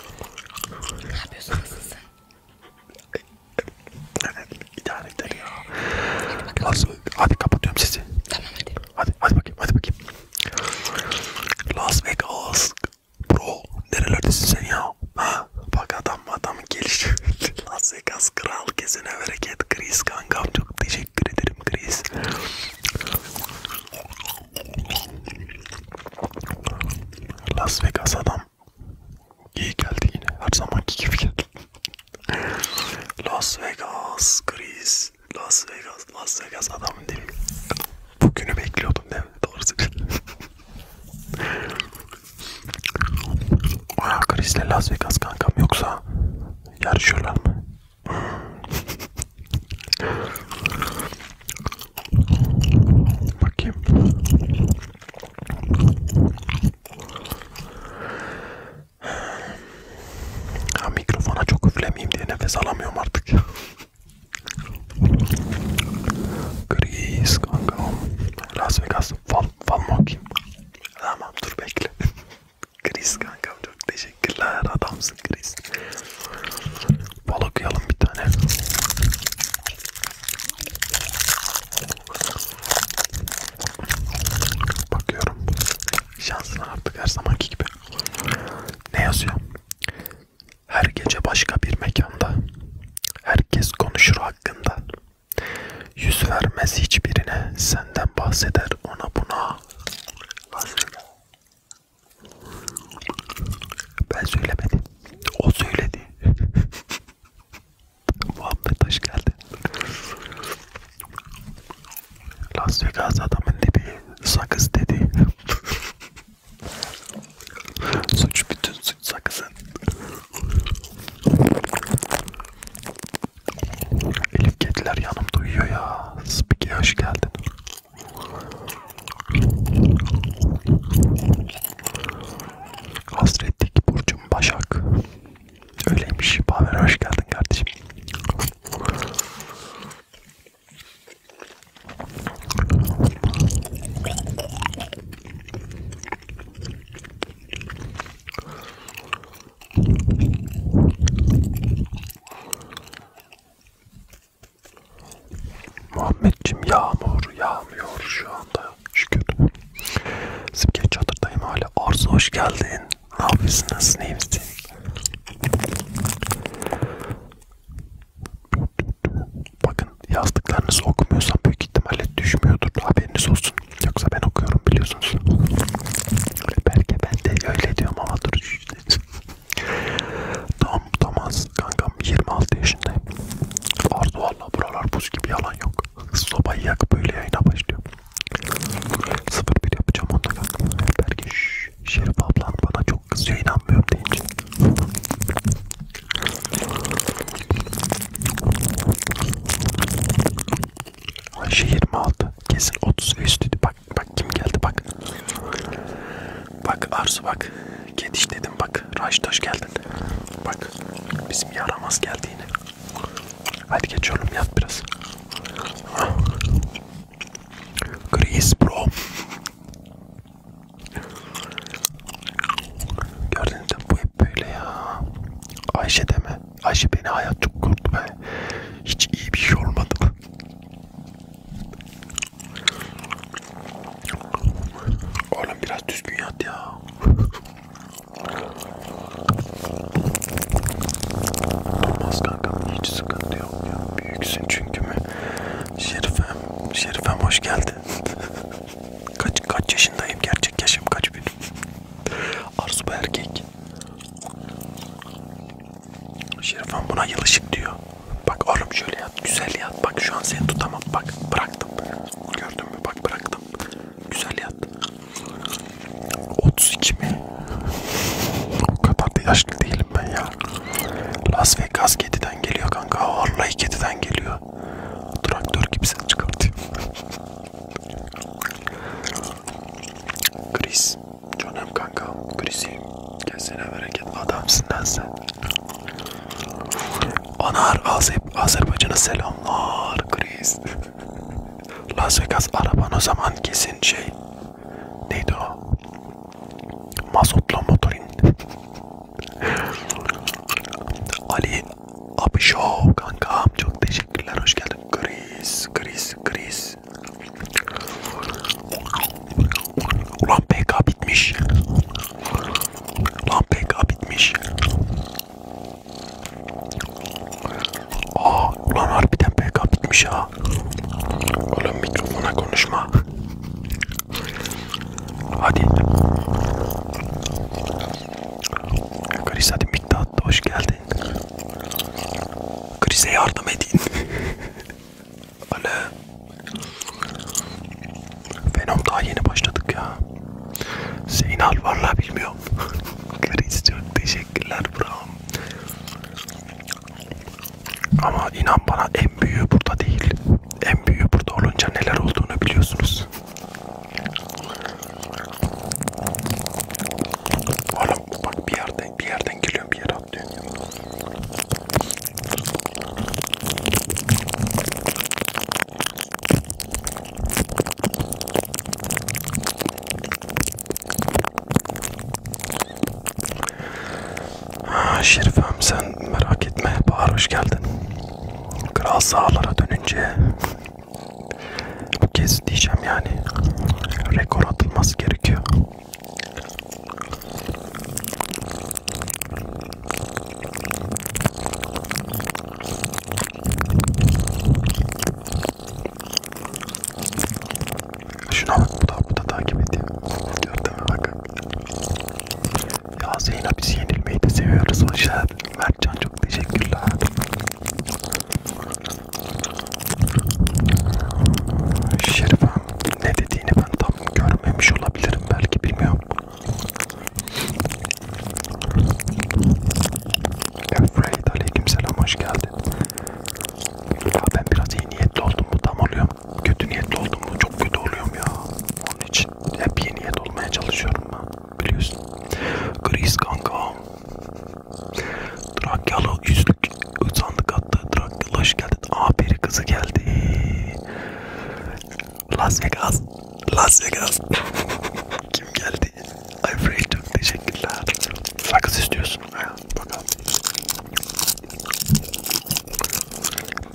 Ne yapıyorsun nasılsın? idare eder ya. Hadi, Lazım. hadi kapatıyorum sizi. Tamam hadi. Hadi hadi bakayım hadi bakayım. Las Vegas. Bro nerelerdesin sen ya? Ha? Bak adam adam geliş. Las Vegas kral kesene bereket. Chris kankam çok teşekkür ederim Chris. Las Vegas adam iyi geldi yine her zamanki gibi geldi Las Vegas, Chris. Las Vegas, Las Vegas adamın değil mi? Bugünü bekliyordum değil mi? Doğrusu. Aa, Chris ile Las Vegas kankam yoksa yarışıyorlar mı? Bakayım. Ya mikrofona çok üflemeyeyim diye nefes alamıyorum artık. Chris kanka. Las Vegas. Fal, fal mı okuyayım? Tamam dur bekle. Chris kanka çok teşekkürler. Adamsın Chris. Fal okuyalım bir tane. Bakıyorum. Şansına artık her zamanki gibi. Ne yazıyor? Her gece başka bir mekanda. Herkes konuşur hakkında. Yüz vermez hiçbirine. Senden bahseder ona buna. Bahseder. Ben söylemedim. O söyledi. Muhammed hoş geldin. Las Vegas adamın dibi sakız dedi. suç bütün suç sakızın. Elif kediler yanımda uyuyor ya. Spiki hoş geldin. Hasretlik Burcum Başak. Öyleymiş. Pavel hoş geldin kardeşim. Muhammedciğim yağmur yağmıyor şu anda şükür. Simge çadırdayım hala. Arzu hoş geldin. Ne yapıyorsun? Nasılsın? İyi misin? Bakın yazdıklarınızı okumuyorsam büyük ihtimalle düşmüyordur. Haberiniz olsun. Yoksa ben okuyorum biliyorsunuz. Belki ben de öyle diyorum ama dur. Tam Thomas kankam 26 yaşındayım. Vardı valla buralar buz gibi yalan yok. Sobayı yak böyle yayına başlıyor. Sıfır bir yapacağım onlara. Belki Şerif ablan bana çok kızıyor inanmıyorum deyince. Ayşe 26 kesin 30 ve üstüydü. Bak bak kim geldi bak. Bak Arzu bak. Kediş dedim bak. Raştaş geldin. Bak bizim yaramaz geldi yine. Hadi geç oğlum yat biraz. Chris bro. Gördünüz mü bu hep böyle ya. Ayşe deme. Ayşe beni hayat çok kurdu be. Hiç iyi bir şey olmadı. Oğlum biraz düzgün yat ya. Olmaz kankam hiç sıkıntı yok ya. Büyüksün çünkü mü? Şerifem, Şerifem hoş geldin. kaç kaç yaşındayım? Gerçek yaşım kaç benim? Arzu bu erkek. Şerifem buna yılışık diyor. Bak oğlum şöyle yat, güzel yat. Bak şu an seni tutamam. Bak bıraktım. Gördün mü? Bak bıraktım. Güzel yat. 32 mi? o kadar da yaşlı değilim ben ya. Las Vegas kediden geliyor kanka. Vallahi kediden geliyor. Traktör gibi ses çıkartıyor. Chris. Canım kanka. Chris'im. Kesene bereket. Adamsın lan sen. Anar Azep, Azerbaycan'a selamlar Chris. Las Vegas araban o zaman kesin şey neydi o? Mazotlu motorin. Ali Abişov kankam çok teşekkürler hoş geldin. Gris, gris, gris. Ulan PK bitmiş. Ulan PK bitmiş. Aa ulan harbiden PK bitmiş ha. Oğlum mikrofona konuşma. Hadi. Chris hadi mikta attı hoş geldin. Chris'e yardım edin. Alo. Venom daha yeni başladık ya. Zeynal valla bilmiyorum. Chris çok teşekkürler bravo. Ama inan bana en büyüğü burada değil. En büyüğü burada olunca neler olduğunu biliyorsunuz. Oğlum bak bir yerden bir yerden geliyorum bir yere atlıyorum. Şerifem sen merak etme. Bahar hoş geldin. Kral sahalara dönünce bu kez diyeceğim yani rekor atılması gerekiyor. Şuna bak bu da, bu da takip ediyor. Gördün mü bak. Ya Zeyna biz yenilmeyi de seviyoruz. Hoş geldin. Mertcan çok teşekkürler. Şerifem ne dediğini ben tam görmemiş olabilirim belki bilmiyorum. Afraid aleykümselam hoş geldin. Ya ben biraz iyi niyetli oldum mu tam oluyor. Kötü niyetli oldum mu çok kötü oluyorum ya. Onun için hep iyi niyet olmaya çalışıyorum ben. Biliyorsun. Gris kanka. Trakyalı yüzlük sandık attı. Trakyalı hoş geldin. Aberi kızı geldi. Las Vegas. Las Vegas. Kim geldi? Ayfrey'cim teşekkürler. Sakız istiyorsun. Ha, bakalım.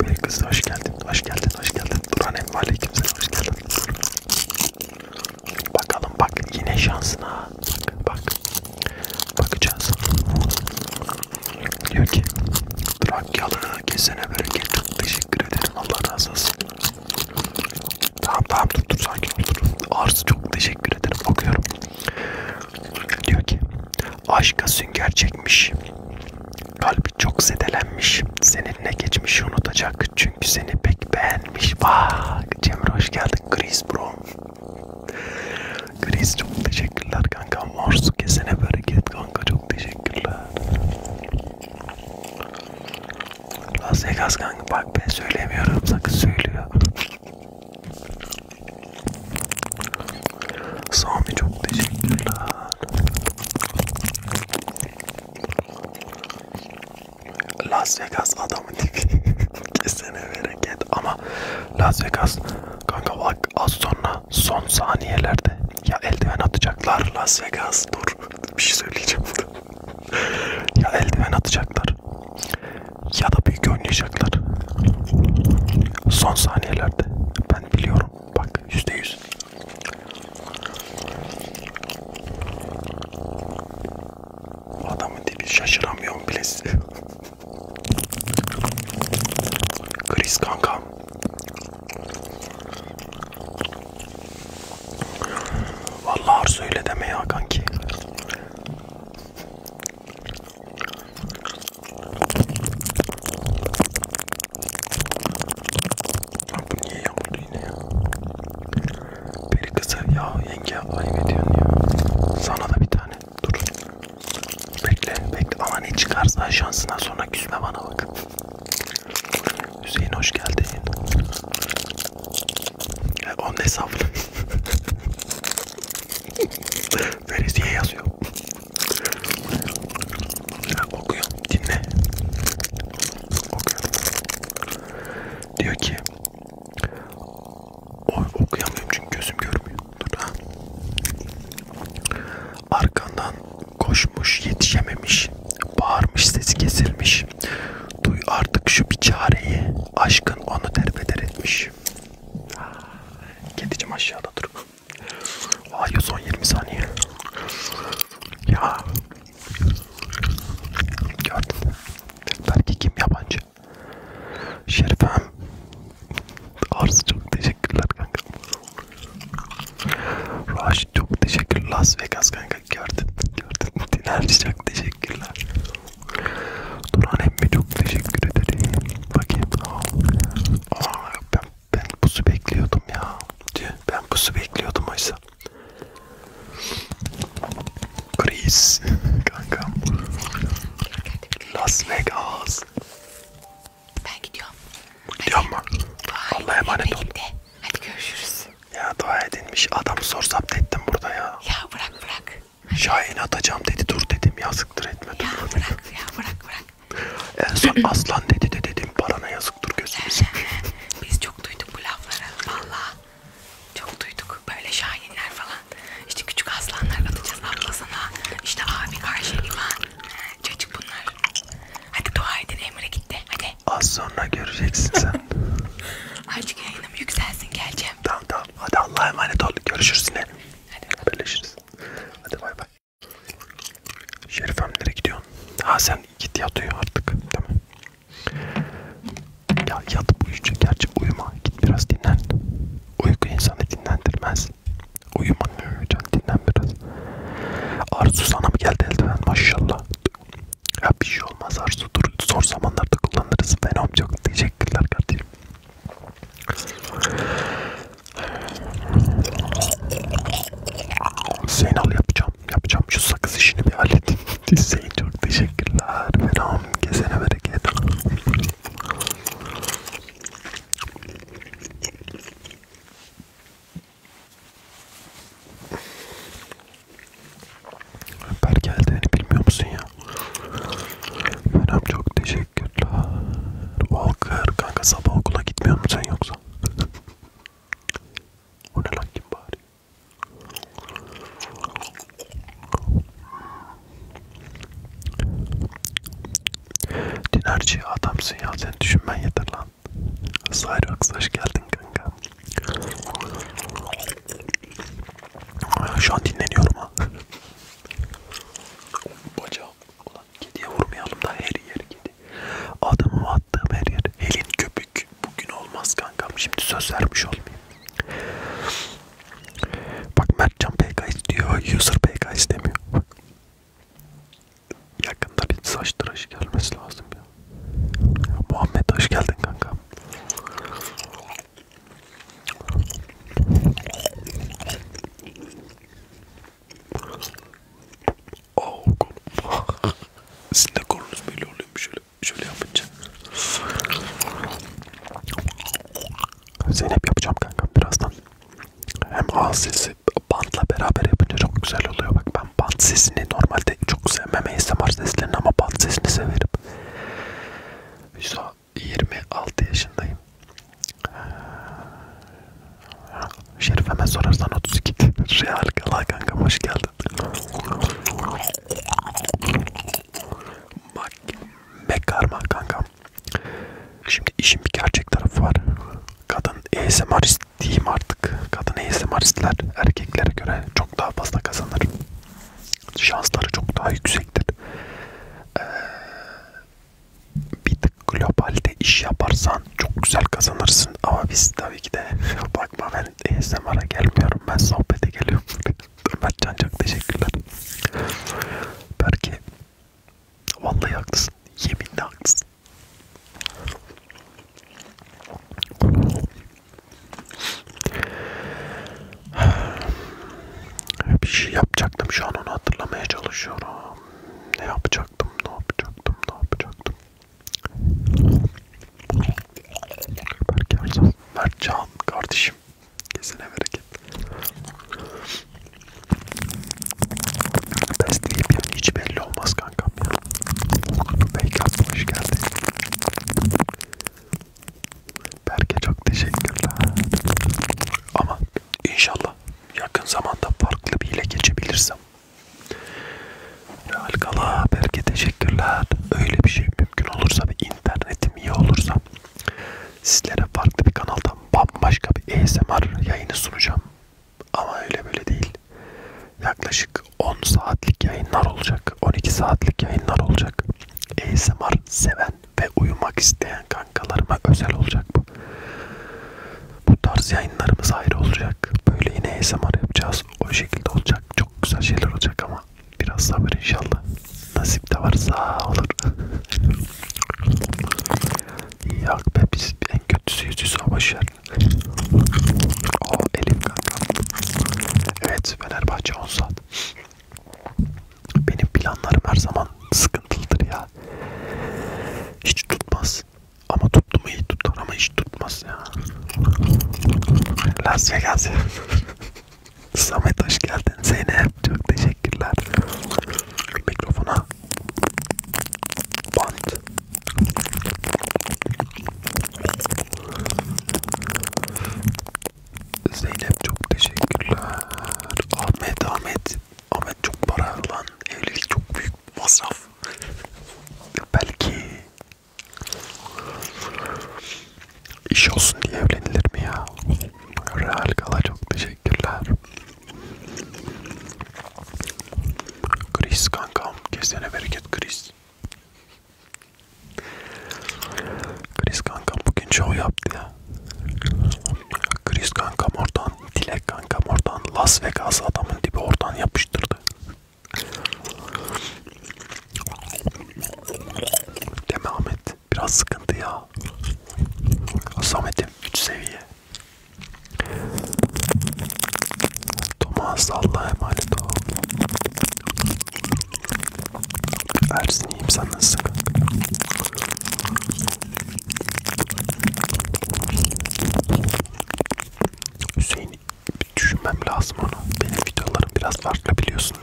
Bir kız hoş geldin, hoş geldin, hoş geldin. Duran emmi aleykümselam hoş geldin. Bakalım bak yine şansına. Bak bak. Bakacağız. Diyor ki Trakyalı kesene bereket. Teşekkür ederim. Allah razı olsun. Tamam tamam dur dur sakin ol dur. Arzu çok teşekkür ederim okuyorum. Diyor ki aşka sünger çekmiş. Kalbi çok zedelenmiş. Seninle geçmişi unutacak. Çünkü seni pek beğenmiş. Bak Cemre hoş geldin. Chris bro. Chris çok teşekkürler kanka. Morsu kesene bereket kanka. Çok teşekkürler. Las Vegas kanka bak ben söylemiyorum. Sakın söylüyor. Sami çok teşekkürler. Las Vegas adamın tipi. Kesene bereket ama Las Vegas kanka bak az sonra son saniyelerde ya eldiven atacaklar Las Vegas dur bir şey söyleyeceğim burada ya eldiven atacaklar ya da büyük oynayacaklar son saniyelerde ben biliyorum bak yüzde yüz adamın dibi şaşıramıyorum bile size Chris kankam Vallahi arzu öyle deme ya kanki bu niye yağmurlu yine ya? Peri kızı ya yenge ayıp ediyorsun ya. Sana da bir tane dur. Bekle bekle ama ne çıkarsa şansına sonra küsme bana bak. Hüseyin hoş geldin. Onun hesabını veresiye yazıyor. Okuyor, dinle. Okuyor. Diyor ki, okuyamıyorum çünkü gözüm görmüyor. Dur ha. Arkandan koşmuş, yetişememiş, bağırmış, sesi kesilmiş. Duy artık şu bir çareyi. Aşkın onu derbeder etmiş. Kedicim aşağıda dur. Ay son 20 saniye. Ya. Gördüm. Belki kim yabancı? Şerifem. Arzu çok teşekkürler kanka. Raş çok teşekkür Las Vegas kanka gördün. Gördün. Diner çok teşekkürler. Duran emmi çok teşekkür ederim. Bakayım. Aa, ben, ben buzu bekliyordum ya. Ben buzu bekliyordum oysa. Chris. Kankam. Las Vegas. Ben gidiyorum. Gidiyor mu? Allah'a emanet ol. Hadi görüşürüz. Ya dua edinmiş adam sorsaptettim burada ya. Ya bırak bırak. Şahin atacağım dedi dur dedim yazıktır etme dur. Ya bırak ya bırak bırak. En son aslan dedi de dedim parana yazıktır gözümüz. Biz çok duyduk bu lafları valla. Çok duyduk böyle şahinler falan. İşte küçük aslanlar atacağız ablasına. İşte abi karşı iman. Çocuk bunlar. Hadi dua edin Emre gitti hadi. Az sonra göreceksin sen. Açık yayınım yükselsin geleceğim. Tamam tamam Hadi Allah'a emanet ol. Görüşürüz yine. Hadi Birleşiriz. Hadi bay bay. Şerif nereye gidiyorsun? Ha sen git yat uyu artık. Tamam. Ya yat uyuyunca gerçi uyuma. Git biraz dinlen. Uyku insanı dinlendirmez. Uyuma can dinlen biraz. Arzu sana mı geldi eldiven maşallah. Ya bir şey olmaz Arzu dur zor zamanlarda kullanırız ben çok teşekkürler kardeşim Zeynal yapacağım yapacağım şu sakız işini bir halledeyim Zeyn çok teşekkürler Venom gezene bereket Ömer geldiğini bilmiyor musun ya? Menem çok teşekkürler. Walker kanka sabah okula gitmiyor musun sen yoksa? O ne lan kim bari? Dinerci adamsın ya sen düşünmen yeter lan. Sayrox hoş geldin kanka. Şu an dinleniyorum ha. Bacağım. Ulan kediye vurmayalım da her yer kedi. Adamı attığım her yer. Helin köpük. Bugün olmaz kankam. Şimdi söz vermiş olmayayım. Bak Mertcan PK istiyor. User PK istemiyor. Yakında bir saç tıraşı gelmesi lazım ya. ya Muhammed hoş geldin kankam. Oh, kolum. Sizin de kolunuz böyle oluyormuş şöyle, şöyle yapınca. Zeynep yapacağım kanka birazdan. Hem ağız sesi bantla beraber yapınca çok güzel oluyor. Bak ben bant sesini normalde çok sevmem ASMR seslerini ama bant sesini severim. Güzel. 26 yaşındayım. Şerife'me sorarsan 32 real kala kanka hoş geldin. Bak mekarma kankam. Şimdi işin bir gerçek tarafı var. Kadın ASMR'ist diyeyim artık. Kadın ASMR'istler erkeklere göre çok daha fazla kazanır şansları çok daha yüksektir. Ee, bir tık globalde iş yaparsan çok güzel kazanırsın ama biz tabii ki de bakma ben ASMR'a gelmiyorum ben sohbete geliyorum. Ömer Can çok teşekkürler. Belki vallahi haklısın. Yeminle haklısın. Bir şey yapacaktım şu an onu hatırlamaya çalışıyorum. Ne yapacaktım, ne yapacaktım, ne yapacaktım. Berk Erzal, Mertcan kardeşim. Kesene bereket. Besleyip yani hiç belli olmaz kankam ya. Beykat hoş geldin. Berke çok teşekkürler. Ama inşallah yakın zamanda farklı bir ile geçebilirsem. Alkala Berke teşekkürler. Öyle bir şey mümkün olursa ve internetim iyi olursa sizlere farklı bir kanaldan bambaşka bir ASMR yayını sunacağım. Ama öyle böyle değil. Yaklaşık 10 saatlik yayınlar olacak. 12 saatlik yayınlar olacak. ASMR seven seven ve uyumak isteyen kankalarıma özel olacak bu. Bu tarz yayınlarımız ayrı olacak. Böyle yine ASMR yapacağız. O şekilde olacak. Çok güzel şeyler olacak ama biraz sabır inşallah. Nasip de varsa olur. Yok be biz en kötüsü yüz yüze başlar. O Elif kanka. Evet Fenerbahçe 10 saat. Benim planlarım her zaman sıkıntılıdır ya. Hiç tutmaz. Ama tuttu mu iyi tutar ama hiç tutmaz ya. Las Vegas ya. Samet hoş geldin. Zeynep çok teşekkürler. Mikrofona bant. Zeynep çok teşekkürler. Ahmet, Ahmet. Ahmet çok para lan. Evlilik çok büyük masraf. Belki iş olsun diye evlenilir mi ya? Real Gala çok teşekkürler. Chris kankam. Kesene bereket Chris. Chris kankam bugün çoğu yaptı ya. Chris kankam oradan, Dilek kankam oradan, Las Vegas adamın dibi oradan yapıştırdı. Deme Ahmet, biraz sıkıntı ya. Samet'im 3 seviye. Thomas Allah'a emanet ol. Ersin iyiyim sen nasılsın? Hüseyin düşünmem lazım onu. Benim videolarım biraz farklı biliyorsundur.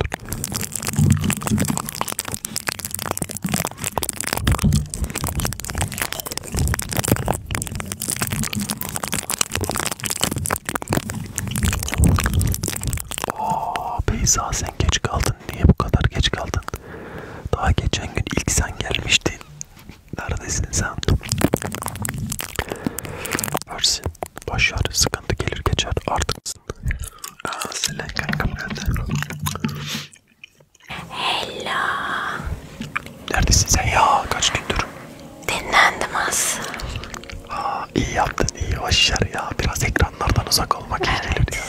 Aa, Beyza sen geç kaldın kaldın? Niye bu kadar geç kaldın? Daha geçen gün ilk sen gelmiştin. Neredesin sen? Versin. Başar. Sıkıntı gelir geçer. Artık Aa, Selen kankam geldi. Hello. Neredesin sen ya? Kaç gündür? Dinlendim az. Aa, iyi yaptın iyi. Başar ya. Biraz ekranlardan uzak olmak evet. iyi gelir ya.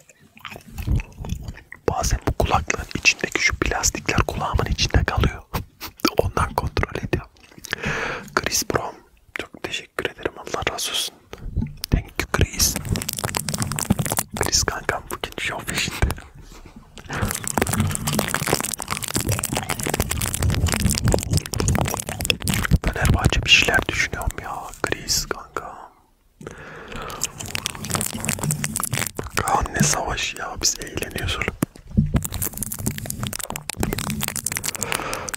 Bazen bu kulaklığın içindeki şu plastikler kulağımın içinde kalıyor. Ondan kontrol ediyorum. Chris Brom. Çok teşekkür ederim. Allah razı olsun. Thank you Chris. Chris kankam bugün şov peşinde. Fenerbahçe bir şeyler düşünüyorum ya. Chris kankam. Kaan ne savaş ya biz eğleniyoruz.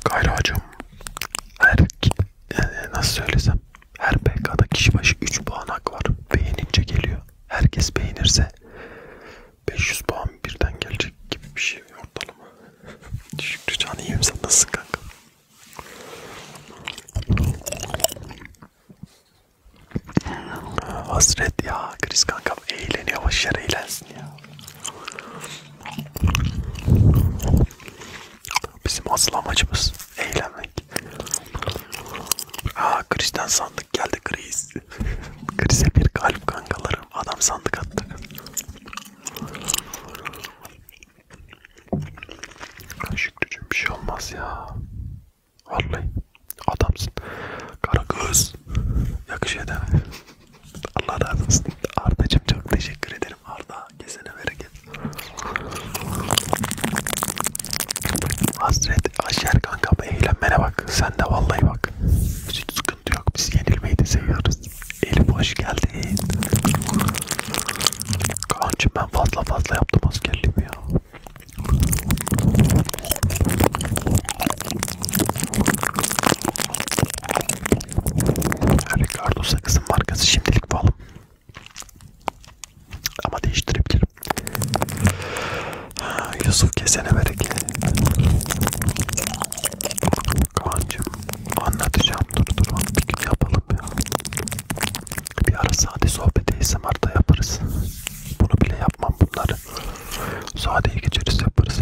Gayracım her e, e, nasıl söylesem her PK'da kişi başı 3 puan hak var. Beğenince geliyor. Herkes beğenirse 500 puan birden gelecek gibi bir şey ortalama. Şükrü Can iyiyim sen nasılsın kanka? Hasret ya. Chris kankam eğlen yavaş yere eğlensin ya. Bizim asıl amacımız eğlenmek. Aa Chris'ten sandık geldi Chris. Chris'e bir kalp kankalarım. Adam sandık attı. Şükrücüm bir şey olmaz ya. Vallahi adamsın. Kara göz. Yakışıyor değil mi? Allah razı olsun. Arda'cığım çok teşekkür ederim. Arda kesene bereket. Hasret aşer kanka eğlenmene bak. Sen de vallahi bak. Hiç sıkıntı yok. Biz yenilmeyi de seviyoruz. Elif hoş geldin. Kaan'cığım ben fazla fazla yaptım askerliğimi ya. Ricardo Sakız'ın markası şimdilik pahalı. Ama değiştirebilirim. Yusuf kesene bereket. Kaan'cığım anlatacağım. Dur dur bir gün yapalım ya. Bir ara sade sohbeti ASMR'da yaparız. Bunu bile yapmam bunları. Sade'ye geçeriz yaparız.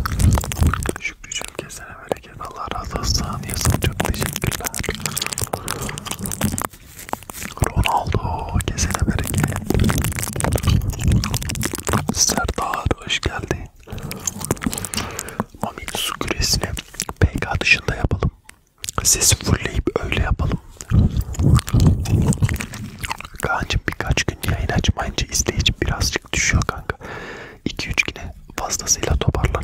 Şükrücüğüm kesene bereket. Allah razı olsun. Yazın çok teşekkürler. Ronaldo kesene bereket. Serdar hoş geldin. Mami su küresini PK dışında yapalım. Sesi fullleyip öyle yapalım. Kancım birkaç gün yayın açmayınca izleyici birazcık düşüyor kanka. 2-3 güne fazlasıyla toparlar.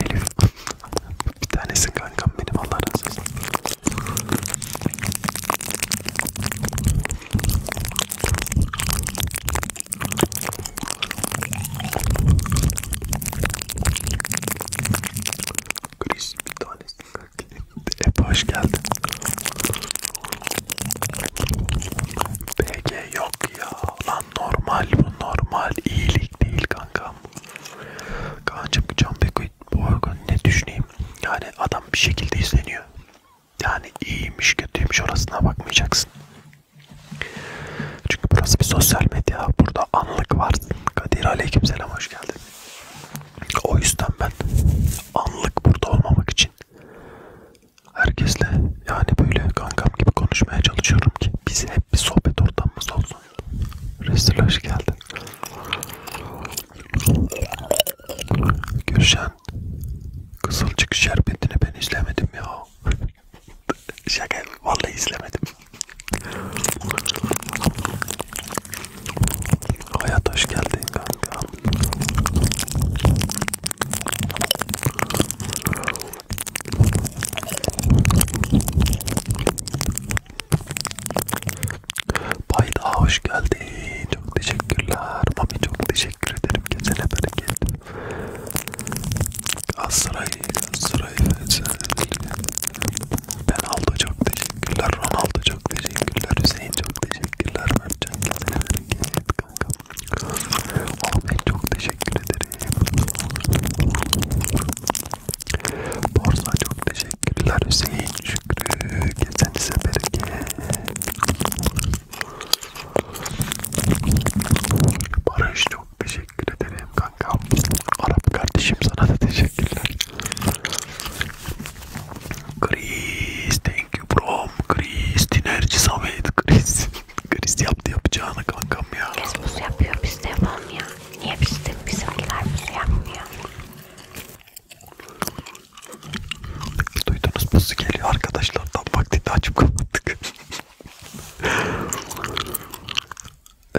Elif bir tanesi kankam benim Allah razı olsun. Chris bir tanesi. Hep hoş geldin. PG yok ya. Lan normal bu normal. iyilik değil kankam. Kancım Can Bekoy bu arada ne düşüneyim? Yani adam bir şekilde izleniyor. Yani iyiymiş kötüymüş orasına bakmayacaksın. Çünkü burası bir sosyal medya. Burada anlık var. Kadir Aleykümselam hoş geldin. O yüzden ben anlık burada olmamak için herkesle yani böyle kankam gibi konuşmaya çalışıyorum ki biz hep bir sohbet ortamımız olsun. Resul hoş geldin. Gülşen Kızılcık Şerbeti'ni ben izlemedim ya. Şaka vallahi izlemedim. Hayat hoş geldin kanka. Bayda hoş geldin. Çok teşekkürler. Mami çok teşekkür ederim. Gezene bereket. Galatasaray sırayla senle. Ben Aldo çok teşekkürler, Ronaldo çok teşekkürler, Hüseyin çok teşekkürler, Mertcan kendine hareket kankam. Ahmet çok teşekkür ederim. Borsa çok teşekkürler, Hüseyin Şükrü, kesenize bereket. Barış çok teşekkür ederim kankam. Arap kardeşim sana da teşekkürler. Chris, thank you bro. Chris, dinerci Samet. Chris, Chris yaptı yapacağını kankam ya. Herkes buz yapıyor, biz de yapamıyor. Niye biz de bizimkiler buz yapmıyor? Duydunuz buzu geliyor arkadaşlar. Tam vaktinde açıp kapattık.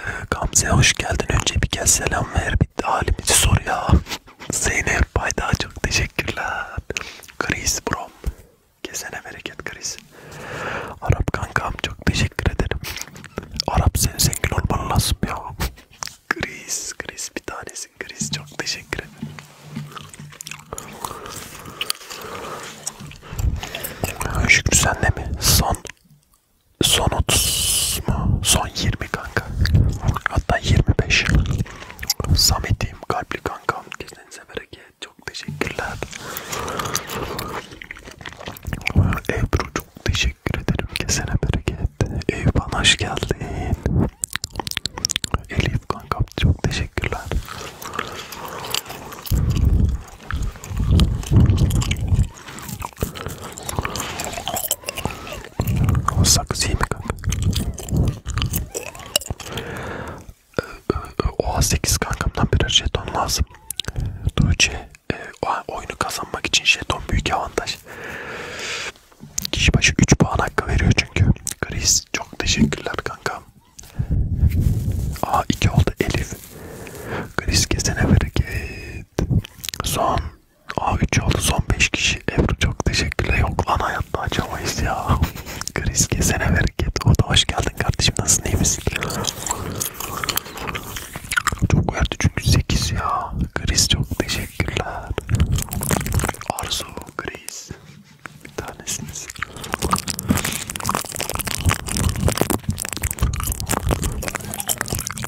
Ee, Gamze hoş geldin. Önce bir kez selam ver. Bir de halimizi sor ya. Zeynep Bayda çok teşekkürler. Chris Brom. Kesene bereket Chris. Arap kankam çok teşekkür ederim. Arap sen zengin olman lazım ya. Chris, Chris bir tanesin Chris. Çok teşekkür ederim. Şükrü senle mi? Son Son 30 mu? Son 20 kanka. Hatta 25. Samet'im kalpli kankam. Gecenize bereket. Çok teşekkürler. Ebru çok teşekkür ederim. Kesene bereket. Eyüphan hoş geldin. Elif kankam çok teşekkürler. Sakız iyi mi kanka? Ee, o 8 kankamdan birer jeton lazım. Tuğçe e, oyunu kazanmak için jeton büyük avantaj. Kişi başı 3 puan hakkı veriyor çünkü. Chris çok teşekkürler kanka. Aa 2 oldu Elif. Chris kesene bereket. Son A3 oldu son 5 kişi. Ebru çok teşekkürler. Yok lan hayatta açamayız ya. Chris kesene bereket. O da hoş geldin kardeşim. Nasılsın iyi misin? Çok verdi çünkü 8 ya. Chris çok teşekkürler. Arzu, Chris. Bir tanesiniz.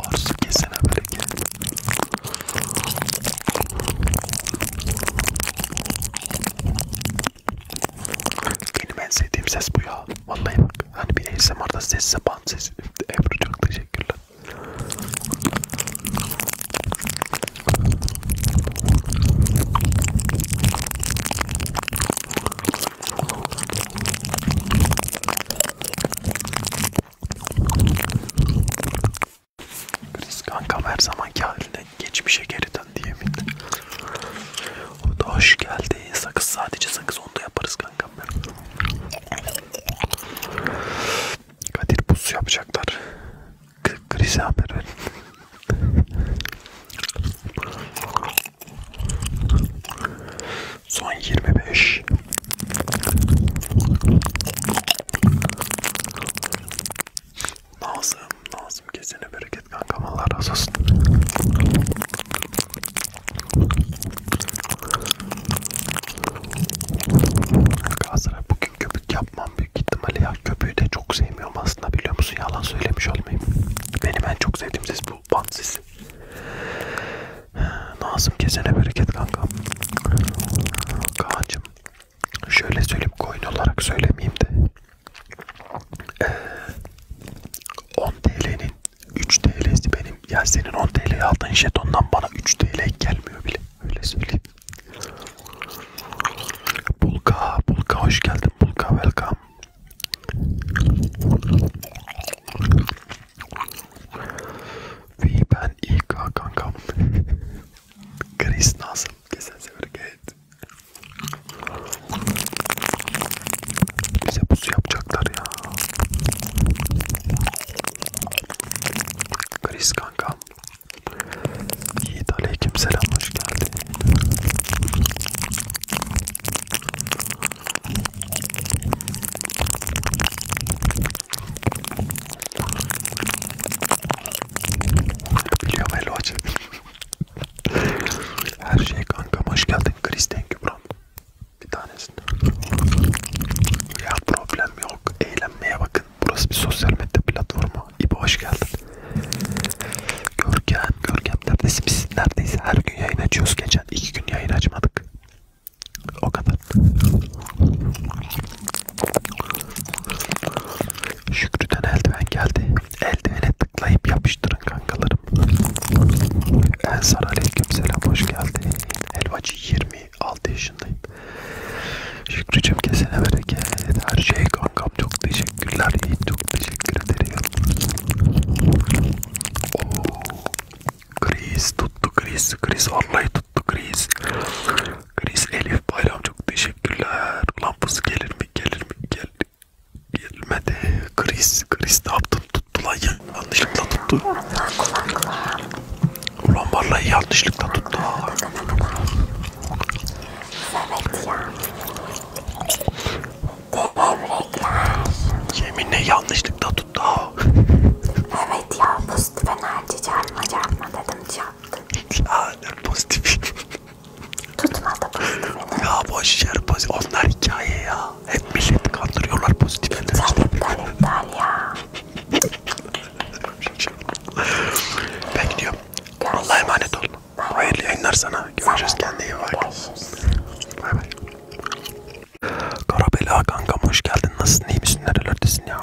Arzu kesene bereket. Benim en sevdiğim ses bu ya. Vallahi bak. Hani bir ASMR'da sesse band sesi. Ebru çok teşekkürler. Chris kankam her zamanki haline geçmişe geri dön diye bindi. O da hoş geldi. Sakız sadece sakız onu da yaparız kankam. Kadir pusu yapacaklar. Chris'e haber verin. Son 25. Nazım, Nazım kesene bereket kankam Allah razı olsun. Galatasaray bugün köpük yapmam büyük ihtimalle ya köpüğü de çok sevmiyorum aslında biliyor musun yalan söylemiş olmayayım. Benim en çok sevdiğim ses bu bant sesi. Nazım kesene bereket kankam. Kaan'cım şöyle söyleyip coin olarak söylemeyeyim de. 10 ee, TL'nin 3 TL'si benim. Ya senin 10 TL'ye aldığın jetondan bana 3 TL gelmiyor bile. Öyle söyleyeyim. Bulka, Bulka hoş geldin. Bulka welcome. Ve ben ilk kankam. Chris nasıl? Kesin sever gayet. Bize pusu yapacaklar ya. Chris kankam. Yiğit aleyküm selam hoş geldin. Biliyorum hello açın. Her şey kankam hoş geldin. Chris thank you bro. Bir tanesini. Ya problem yok. Eğlenmeye bakın. Burası bir sosyal medya platformu. İbo hoş geldin. Görkem, Görkem neredesin? Biz neredeyiz? Her gün yayın açıyoruz. Geçen iki gün yayın açmadık. O kadar. Şükrü'den eldiven geldi. Eldivene tıklayıp yapıştırın kankalarım. Ensar aleykümselam hoş geldin. Elvacı 26 yaşındayım. Şükrücüm kesene bereket. Her şey kankam çok teşekkürler. Çok teşekkür ederim. Oo. Kriz tuttu kriz kriz vallahi tuttu kriz kriz Elif bayram çok teşekkürler lampası gelir mi gelir mi gel gelmedi kriz kriz ne yaptın tuttu lan ya yanlışlıkla tuttu ulan vallahi yanlışlıkla tuttu yeminle yanlışlıkla tuttu evet ya pozitif enerji çarpma çarpma dedim çarptı. Aynen pozitif. Tutmadı pozitifini. Ya boş yer pozitif. Onlar hikaye ya. Hep millet kandırıyorlar pozitif enerji. Sen iptal iptal ya. ben gidiyorum. Allah'a emanet ol. Hayırlı yayınlar sana. Görüşürüz. Kendine iyi bak. Bay bay. Karabela kankam hoş geldin. Nasılsın? İyi misin? Nerelerdesin ya?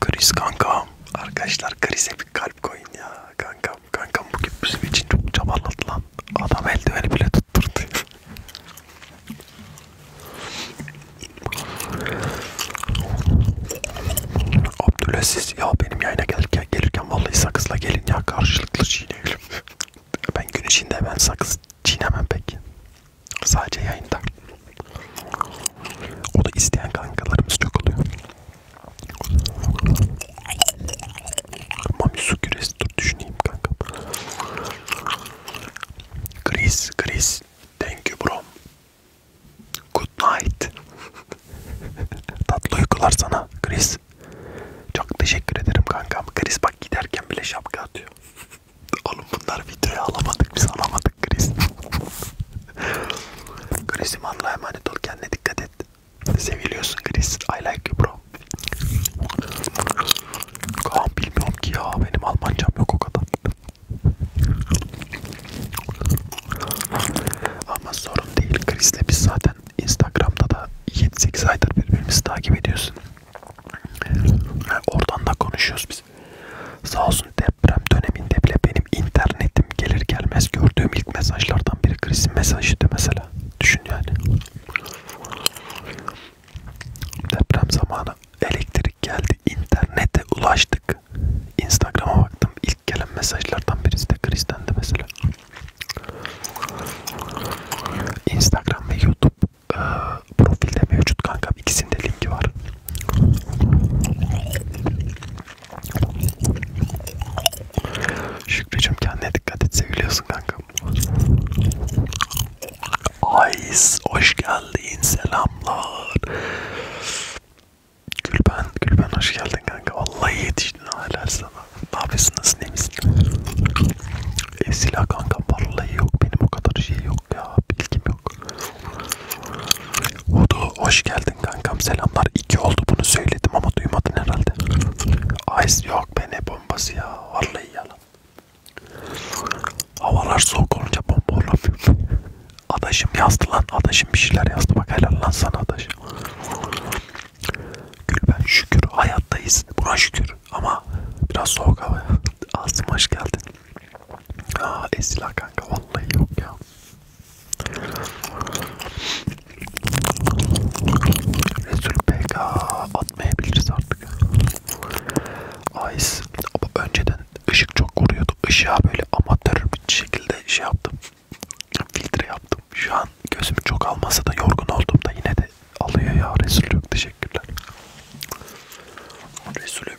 Kriz kankam. Arkadaşlar krize bir kalp koyun ya kankam. Kankam bugün bizim için çok çabaladı lan. Adam eldiveni bile tutturdu. Abdülaziz ya benim yayına gelirken, gelirken vallahi sakızla gelin ya karşılıklı çiğneyelim ben gün içinde ben sakız çiğnemem pek. Sadece yayında. O da isteyen kankalarımız çok oluyor. Mami su küresi dur düşüneyim kanka. Chris, Chris. Thank you bro. Good night. Tatlı uykular sana Chris. Çok teşekkür ederim kankam. Chris bak giderken bile şapka atıyor. Oğlum bunlar videoya alamadık biz alamadık Chris. Chris'im Allah'a emanet ol kendine dikkat et. Seviliyorsun Chris. I like you bro. Kaan bilmiyorum ki ya benim Almancam yok o kadar. Ama sorun değil Chris'le biz zaten Instagram'da da 7-8 aydır birbirimizi takip ediyorsun. Oradan da konuşuyoruz biz. Sağ olsun deprem döneminde bile benim internetim gelir gelmez gördüğüm ilk mesajlardan biri Chris'in mesajıydı mesela. Düşün yani. Deprem zamanı elektrik geldi, internete ulaştık. Instagram'a baktım ilk gelen mesajlardan birisi de Chris'ten de mesela. Instagram ve YouTube e, profilde mevcut kankam. İkisinde linki var. Şükrücüm kendine dikkat et seviliyorsun kankam. Ays hoş geldin selamlar. Gülben, Gülben hoş geldin kanka. Vallahi yetiştin hala sana. Ne yapıyorsunuz? Ne misin? E, silah kanka vallahi yok. Benim o kadar şey yok ya. Bilgim yok. Hudu hoş geldin kankam. Selamlar. İki oldu bunu söyledim ama duymadın herhalde. Ice yok be ne bombası ya. Vallahi yalan. Havalar soğuk olunca bomba olamıyor. Adaşım yazdı lan. Adaşım bir şeyler yazdı. Bak helal lan sana adaşım. Gülben şükür hayattayız. Buna şükür ama biraz soğuk hava. Asım hoş geldin. Aa Esila kanka vallahi yok ya. Resul PK atmayabiliriz artık. Ice önceden ışık çok vuruyordu. Işığa böyle amatör bir şekilde şey yaptım. Filtre yaptım. Şu an gözüm çok almasa da yorgun olduğumda yine de alıyor ya Resulüm teşekkürler. Resulüm.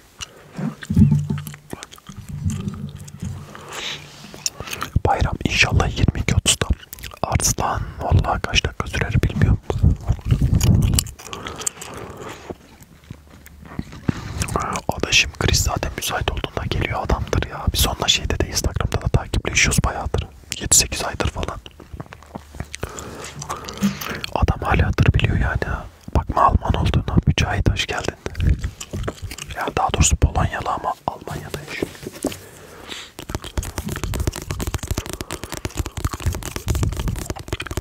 Bayram inşallah 22.30'da. Arslan vallahi kaç dakika sürer bilmiyorum. Adaşım Chris zaten müsait olduğunda geliyor adamdır ya. Biz onunla şeyde de Instagram'da da takipleşiyoruz bayağıdır. 7-8 aydır falan. Adam hala hatır biliyor yani. Bakma Alman olduğuna. Mücahit hoş geldin. Ya daha doğrusu Polonyalı ama Almanya'da yaşıyor.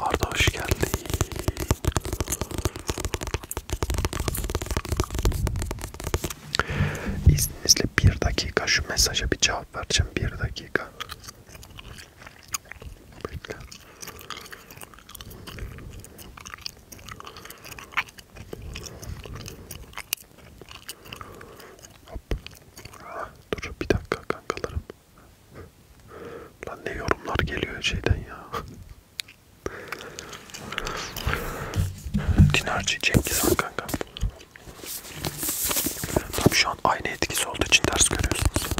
Arda hoş geldin. İzninizle bir dakika şu mesaja bir cevap vereceğim. Bir dakika. Bekle. Hop. Ha, dur bir dakika kankalarım. Lan ne yorumlar geliyor şeyden ya. Dinarcı Cengiz Han kanka. Tam şu an aynı etkisi olduğu için ters görüyorsunuz.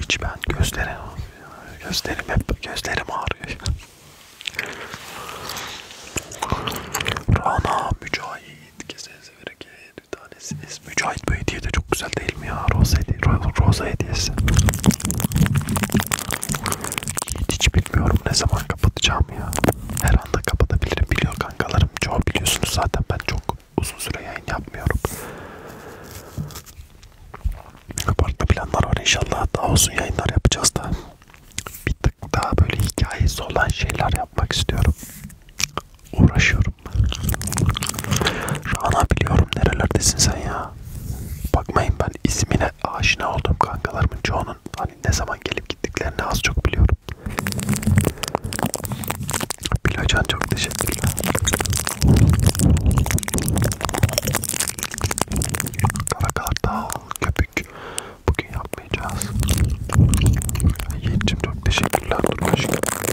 Hiç ben gözlerim, gözlerim hep gözlerim ağrıyor. Rana mücahit, kesesi bereket bir tanesi Mücahit bu hediye de çok güzel değil mi ya? Roza, hediye, roza hediyesi. Hiç, hiç bilmiyorum ne zaman kapatacağım ya. Her anda kapatabilirim biliyor kankalarım. Çoğu biliyorsunuz zaten ben çok uzun süre yayın yapmıyorum. Farklı planlar var inşallah. Daha uzun yayınlar yapacağız da. Bir tık daha böyle hikayesi olan şeyler yapmak istiyorum uğraşıyorum. Rana biliyorum nerelerdesin sen ya. Bakmayın ben ismine aşina olduğum kankalarımın çoğunun hani ne zaman gelip gittiklerini az çok biliyorum. Bilocan çok teşekkürler. Karakartal, köpük. Bugün yapmayacağız. Yiğit'cim çok teşekkürler. Dur aşkım.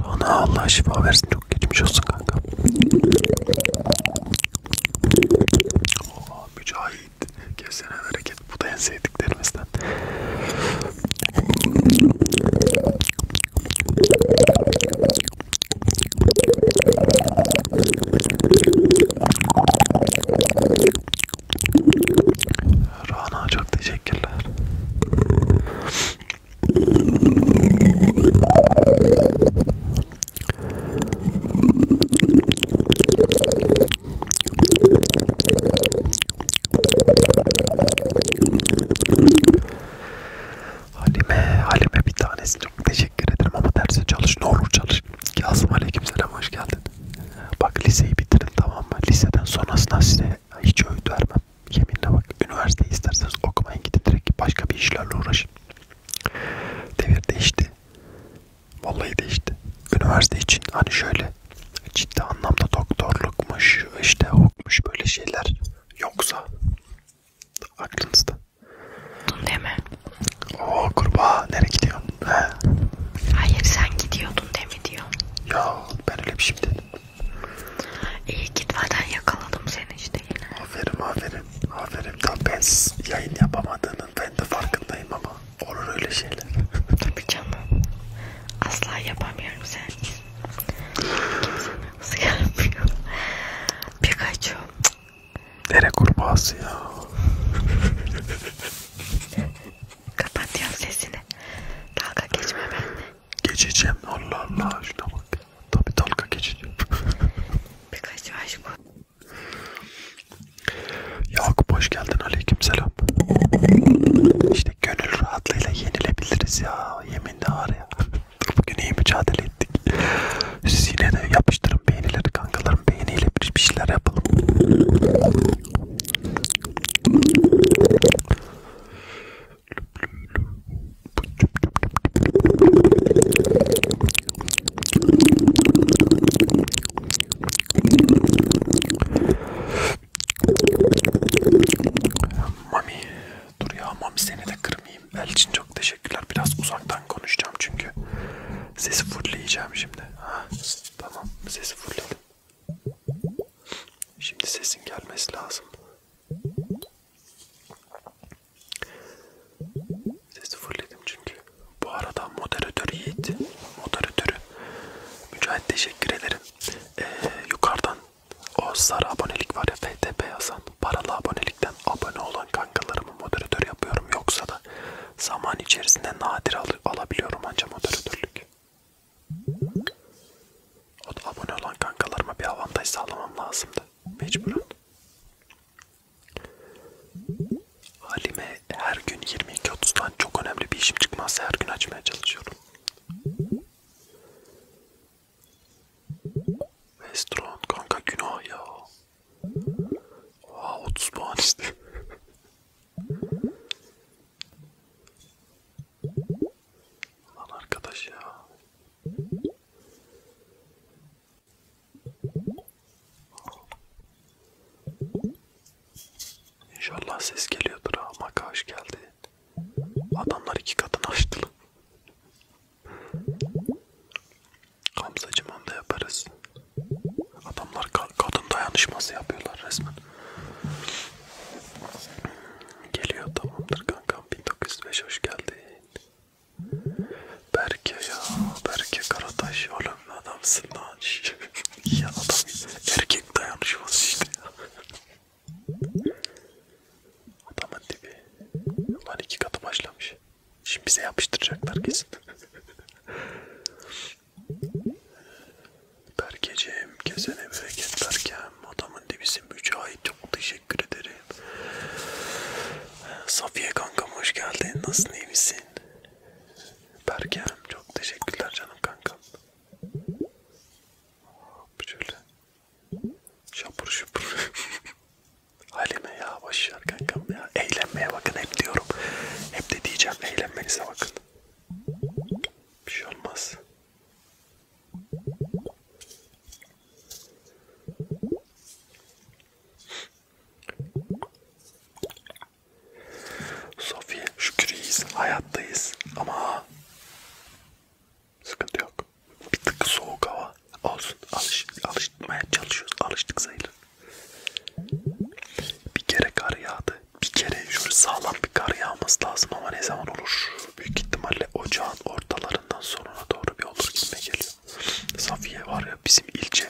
Rana Allah şifa versin çok geçmiş olsun kanka. Oha mücahit. Kesene hareket. Bu da en sevdiklerimizden. Rana çok teşekkürler. Halime, Halime bir tanesi çok teşekkür ederim ama derse çalış, ne olur çalış. Yazım aleykümselam hoş geldin. Bak liseyi bitirin tamam mı? Liseden sonrasında size yani hiç öğüt vermem. Yeminle bak üniversite isterseniz okumayın gidin direkt başka bir işlerle uğraşın. Devir değişti. Vallahi değişti. Üniversite için hani şöyle ciddi anlamda doktorlukmuş, işte okmuş böyle şeyler yoksa aklınızda. Değil mi? Oo kurbağa nereye gidiyorsun? He. Hayır sen gidiyordun değil mi diyor. Ya Sağ ol. Ben öyle bir şey dedim. İyi gitmeden yakaladım seni işte yine. Aferin aferin. Aferin. Tam ben yayın yapamadığının ben de farkındayım ama olur öyle şeyler. Tabii canım. Asla yapamıyorum sensiz. Kimsenin nasıl gelmiyor. Pikachu. Dere kurbağası ya. Kapat ya sesini. Dalga geçme benimle. Geçeceğim Allah Allah şuna bak. Tabi dalga geçeceğim. Birkaç aşk bu. Yakup hoş geldin aleykümselam. İşte gönül rahatlığıyla yenilebiliriz ya. Yeminle var ya. Bugün iyi mücadele ettik. Siz yine de yapıştırın beğenileri kankalarım beğeniyle bir şeyler yapalım. Mami dur ya Mami seni de kırmayayım. Elçin çok teşekkürler. Biraz uzaktan konuşacağım çünkü. Sesi fulleyeceğim şimdi. Ha, tamam sesi fullledim. Şimdi sesin gelmesi lazım. Sesi fırladım çünkü. Bu arada moderatör Yiğit, moderatörü Mücahit teşekkür ederim. Ee, yukarıdan o sarı abonelik var ya FTP yazan paralı abonelikten abone olan kankalarımı moderatör yapıyorum. Yoksa da zaman içerisinde nadir al alabiliyorum anca moderatörlük. O da abone olan kankalarıma bir avantaj sağlamam lazımdı. Mecburen. Halime her gün 22.30'dan çok önemli bir işim çıkmazsa her gün açmaya çalışıyorum. Restaurant kanka günah ya. Oha 30 puan işte. Lan arkadaş ya. İnşallah ses geliyordur ha. Maka hoş geldi. Adamlar iki katını açtı lan. Hamzacım onu da yaparız. Adamlar kadın dayanışması yapıyorlar resmen. Geliyor tamamdır kankam 1905 hoş geldin. Berke ya Berke Karataş oğlum adamsın lan. ya adam erkek dayanışması işte ya. Adamın dibi. Ulan iki katı başlamış. Şimdi bize yapıştıracaklar kesin. Berkeciğim kesene bereket Berkem. Adamın dibisin Mücahit. Çok teşekkür ederim. Safiye kankam hoş geldin. Nasılsın iyi misin? Berkem çok teşekkürler canım kankam. Şöyle. Şapur şupur. Halime ya boşver kankam ya. Eğlenmeye bakın hep diyorum. Hep de diyeceğim eğlenmenize bakın. Bir şey olmaz. Sofi şükür iyiyiz, hayattayız ama sıkıntı yok. Bir tık soğuk hava olsun, Alış, alışmaya çalışıyoruz, alıştık sayılır. Bir kere kar yağdı, bir kere şöyle sağlam bir kar yağması lazım ama ne zaman olur? Büyük ihtimalle ocağın ortalarından sonuna doğru bir olur gitme geliyor. Safiye var ya bizim ilçe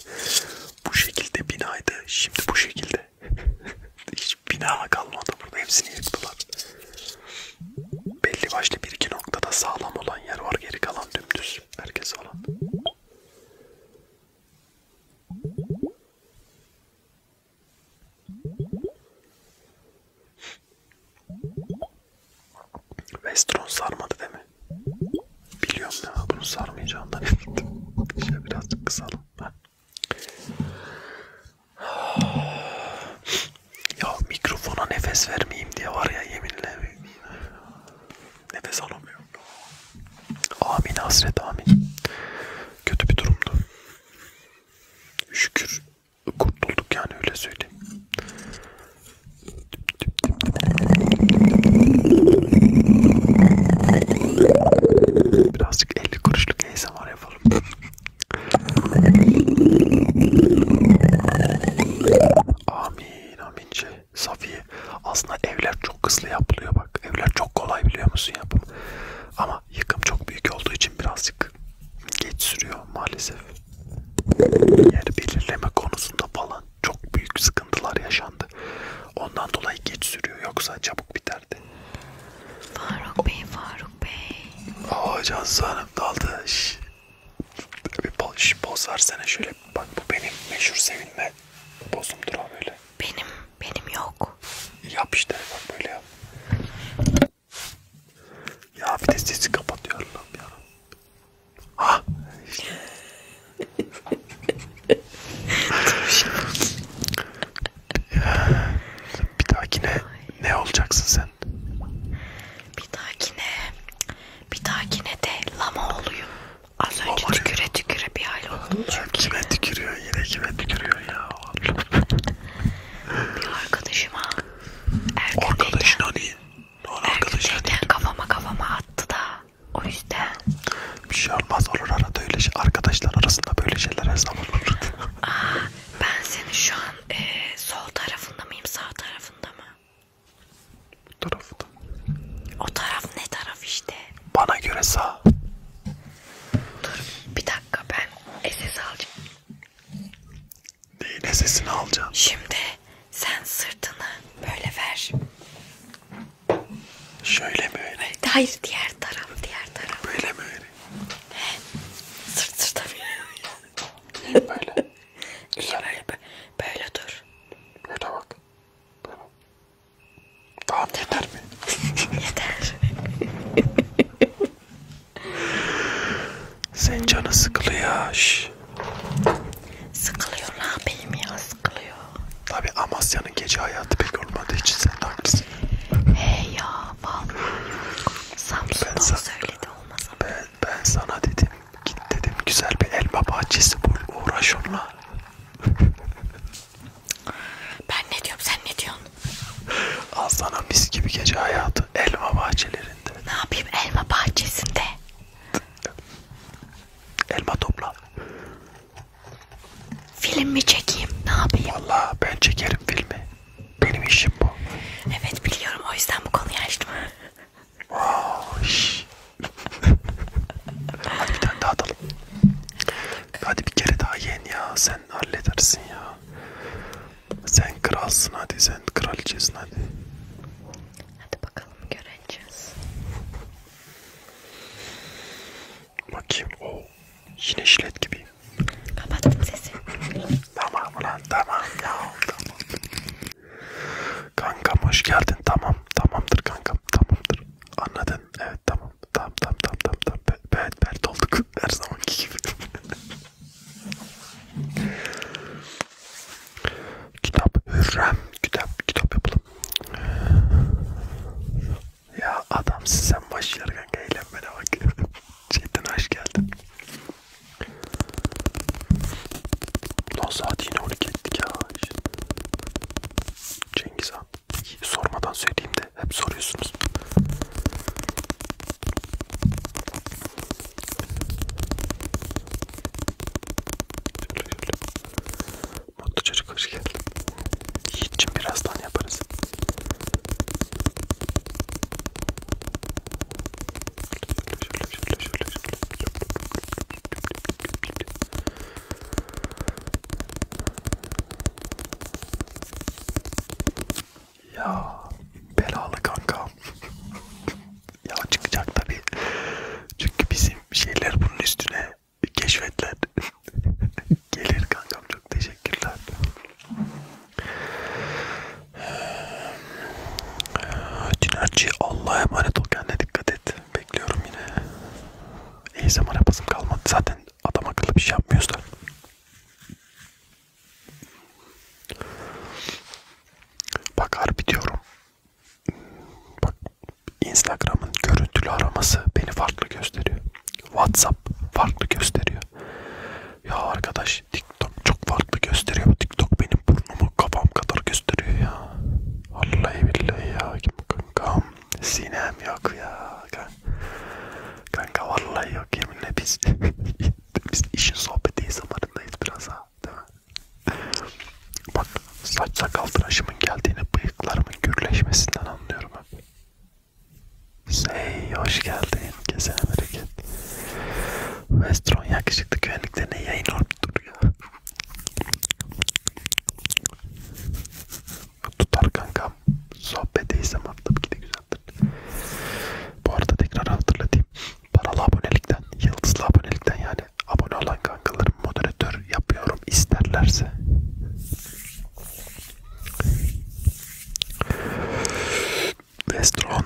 bu şekilde binaydı. Şimdi bu şekilde. Hiç bina kalmadı burada. Hepsini yıktılar. Belli başlı bir iki noktada sağlam olan yer var. Geri kalan dümdüz. Herkes olan. Westron sarmadı değil mi? Biliyorum ya bunu sarmayacağından emindim. Şöyle birazcık kısalım. Ha. Ya mikrofona nefes vermeyeyim diye var ya yeminle. Nefes alamıyorum. Amin hasret amin. Kötü bir durumdu şükür kurtulduk yani öyle söyleyeyim. Birazcık 50 kuruşluk ASMR yapalım. amin amince. Şey, Safiye. Aslında evler çok hızlı yapılıyor bak. Evler çok kolay biliyor musun yapım. Ama ama yıkım çok büyük olduğu için birazcık geç sürüyor maalesef. Yer belirleme konusunda falan çok büyük sıkıntılar yaşandı. Ondan dolayı geç sürüyor yoksa çabuk biterdi. Faruk Bey, Faruk Bey. Aa Cansu Hanım daldı. Şş. Bir poz, poz versene şöyle. Bak bu benim meşhur sevinme bozumdur ha böyle. Benim, benim yok. Yap işte bak böyle yap. Ya bir de sesi kapatıyorum ah! ya. Ha. bir dahakine ne olacaksın sen? Bir dahakine, bir dahakine de lama olayım. Az önce tüküre tüküre bir hal oldum çünkü. Kime tükürüyor yine kime tükürüyor ya? var. Bir arkadaşıma Arkadaşın hani? Erkekten kafama kafama attı da o yüzden. Bir şey olmaz olur arada öyle şey. Arkadaşlar arasında böyle şeyler her zaman olur. Aa, ben senin şu an e, sol tarafında mıyım sağ tarafında mı? Bu tarafta. O taraf ne taraf işte? Bana göre sağ. Dur bir dakika ben SS alacağım. Neyin SS'ini alacağım? Şimdi sen sırtını böyle ver. Şöyle mi öyle? öyle hayır diğer taraf diğer taraf. Böyle mi öyle? He. Sırt sırta böyle. İyi böyle. İyi böyle. Böyle dur. Böyle bak. Böyle. Tamam, tamam. yeter mi? yeter. Sen canı sıkılıyor. Şş. Sıkılıyor ne yapayım ya sıkılıyor. Tabi Amasya'nın gece hayatı pek olmadığı için sen de haklısın. Hey ya vallahi Samsun'dan ben söyledi olmasa. Ben, ben sana dedim git dedim güzel bir elma bahçesi bul uğraş onunla. Ben ne diyorum sen ne diyorsun? Al sana mis gibi gece hayatı elma bahçelerinde. Ne yapayım elma bahçesinde? Elma topla. Film mi çekeyim? Ne yapayım? Valla ben çekerim filmi. Benim işim bu. Evet biliyorum o yüzden bu konuyu açtım. Hadi bir tane daha atalım. Hadi bir kere daha yen ya. Sen halledersin ya. Sen kralsın hadi sen kraliçesin hadi. Hadi bakalım göreceğiz. Bakayım o oh, yine şilet gibi. Kapattım sesi. tamam ulan tamam ya tamam. Kankam hoş geldin tamam tamamdır kankam tamamdır. Anladın evet tamam tamam tamam tamam tamam. tamam berber olduk her zamanki gibi. kitap Hürrem, kitap kitap yapalım. Ya adam sen baş yargan eğlenmene bak. Cidden hoş geldin. Lan saat yine 12 ettik ya. Cengiz Han. Sormadan söyleyeyim de hep soruyorsunuz. Şöyle şöyle. Mutlu çocuk hoş geldin. Yiğit'cim birazdan yaparız. Şöyle şöyle şöyle şöyle şöyle. Ya belalı kanka. ya çıkacak tabi. Çünkü bizim şeyler bunun üstüne keşfetler. Gelir kankam çok teşekkürler. Cinerci Allah'a emanet ol kendine dikkat et. Bekliyorum yine. İyi zaman yapasım kalmadı. Zaten adam akıllı bir şey yapmıyoruz da. Bak harbi diyorum. Bak Instagram'ın görüntülü araması beni farklı gösteriyor. WhatsApp farklı gösteriyor. Ya arkadaş TikTok çok farklı gösteriyor. Bu TikTok benim burnumu kafam kadar gösteriyor ya. Vallahi billahi ya kankam. Sinem yok ya kankam kanka. Kanka vallahi yok yeminle biz biz işin sohbeti zamanındayız biraz ha değil mi? Bak saç sakal tıraşımın geldiğini bıyıklarımın gürleşmesinden anlıyorum hep. Hey hoş geldin kesene bereket. Westron yakışıklı güvenliklerine yayın olup duruyor. Tutar kankam sohbeti zamanında bir de güzel. Bu arada tekrar hatırlatayım. Paralı abonelikten, yıldızlı abonelikten yani abone olan kankalarım moderatör yapıyorum isterlerse. Vestron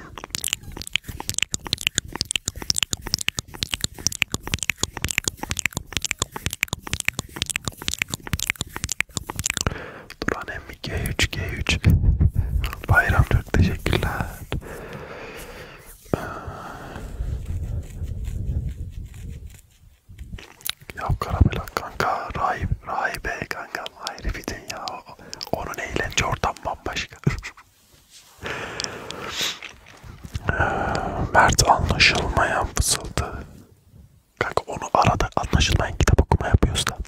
Duran emmi G3 G3 Bayram çok teşekkürler ee, Ya karamela kanka rahip rahibe kanka ayrı bir dünya onun eğlence ortam bambaşka ee, Mert anlaşılmayan fısıldı Kanka onu arada anlaşılmayan kitap okuma yapıyoruz da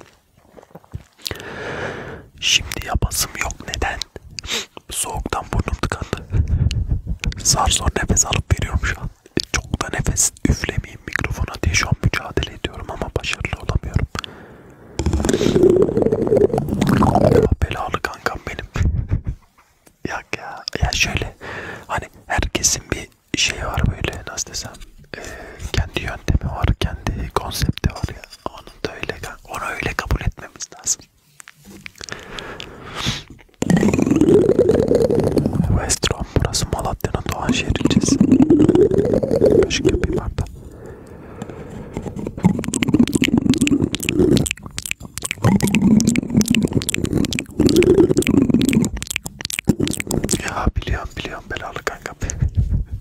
Şimdi yapasım yok neden? Soğuktan burnum tıkandı. Zar zor nefes alıp veriyorum şu an. Çok da nefes üflemeyeyim mikrofona diye şu an mücadele ediyorum ama başarılı olamıyorum. Belalı kankam benim. ya ya ya şöyle hani herkesin bir şey var böyle nasıl desem e, kendi yöntemi var, kendi konsepti var ya. Onun da öyle, onu öyle kabul etmemiz lazım. Westrom burası Malatya'nın Doğanşehir ilçesi. Aşk yapayım artık. Ya biliyorum biliyorum belalı kanka.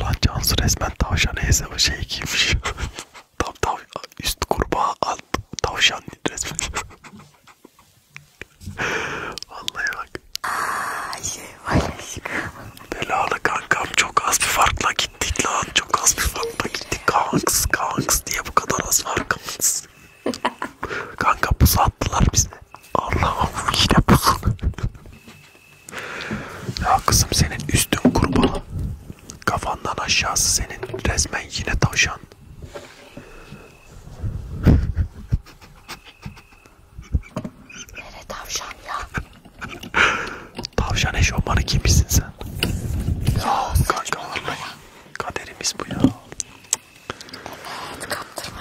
Lan Cansu resmen tavşan heyse şey giymiş. tam tav üst kurbağa alt tavşan resmen. Vallahi bak. Aa, şey var aşkım. Belalı kankam çok az bir farkla gittik lan. Çok az bir farkla gittik. Kanks kanks diye bu kadar az farkımız. Kanka pus attılar bize. Allah'ım yine pus. ya kızım senin üstün kurban. Kafandan aşağısı senin resmen yine tavşan. Nere tavşan ya? tavşan eşofmanı kimsin sen? Ya kanka vallahi kaderimiz bu ya. Evet kaptırma.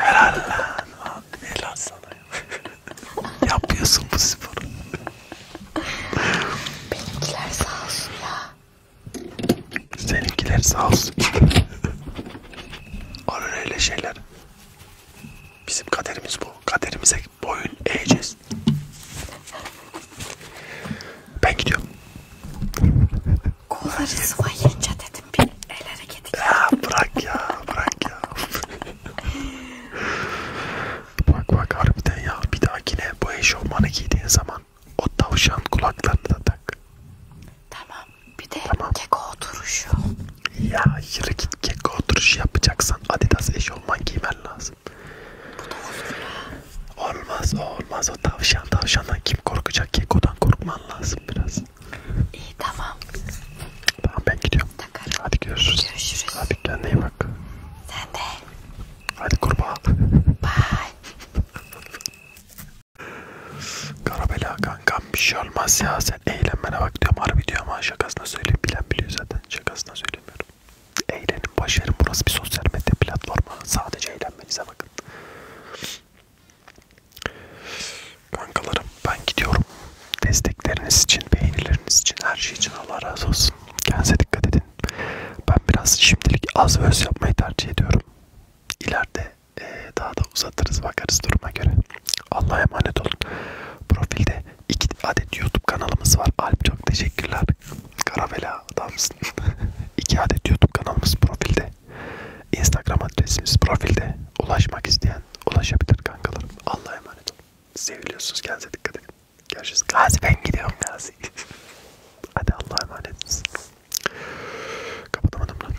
Helal lan. Helal sana ya. Yapıyorsun bu sporu. Benimkiler sağ olsun ya. Seninkiler sağ olsun. Olur öyle şeyler. Bizim kaderimiz bu. Kaderimize boyun eğeceğiz. Ben gidiyorum. Kolları sıvayınca dedim bir el hareketi. Ya bırak ya bırak ya. bak bak harbiden ya bir dahakine bu eşofmanı giydiğin zaman o tavşan kulaklarını da tak. Tamam bir de tamam. keko oturuşu. Ya yürü git keko oturuşu yapacaksan Adidas eşofman giymen lazım. Bu da olur ya. Olmaz o olmaz o tavşan tavşandan kim korkacak kekodan korkman lazım biraz. İyi tamam. Tamam ben gidiyorum. Takarım. Hadi görüşürüz. Görüşürüz. Hadi kendine iyi bak. Sen de. Hadi kurbağa. Bye. Karabela kankam bir şey olmaz ya sen sen eğlenmene bak diyorum harbi diyorum ama şakasına söyleyeyim bilen biliyor zaten şakasına söylemiyorum. Eğlenin başarın burası bir sosyal medya platformu sadece eğlenmenize bakın. Kankalarım ben gidiyorum. Destekleriniz için, beğenileriniz için, her şey için Allah razı olsun. Kendinize dikkat edin. Ben biraz şimdilik az ve öz yapmayı tercih ediyorum. İleride e, daha da uzatırız bakarız duruma göre. Allah'a emanet olun. Profilde iki adet YouTube kanalımız var. Alp çok teşekkürler. Karavela adamsın. iki adet YouTube kanalımız profilde. Instagram adresimiz profilde. Ulaşmak isteyen ulaşabilir kankalarım. Allah'a emanet olun. Seviliyorsunuz. Kendinize dikkat edin. Görüşürüz. Gazi ben gidiyorum Gazi. Hadi Allah'a emanet olun. Kapatamadım lan.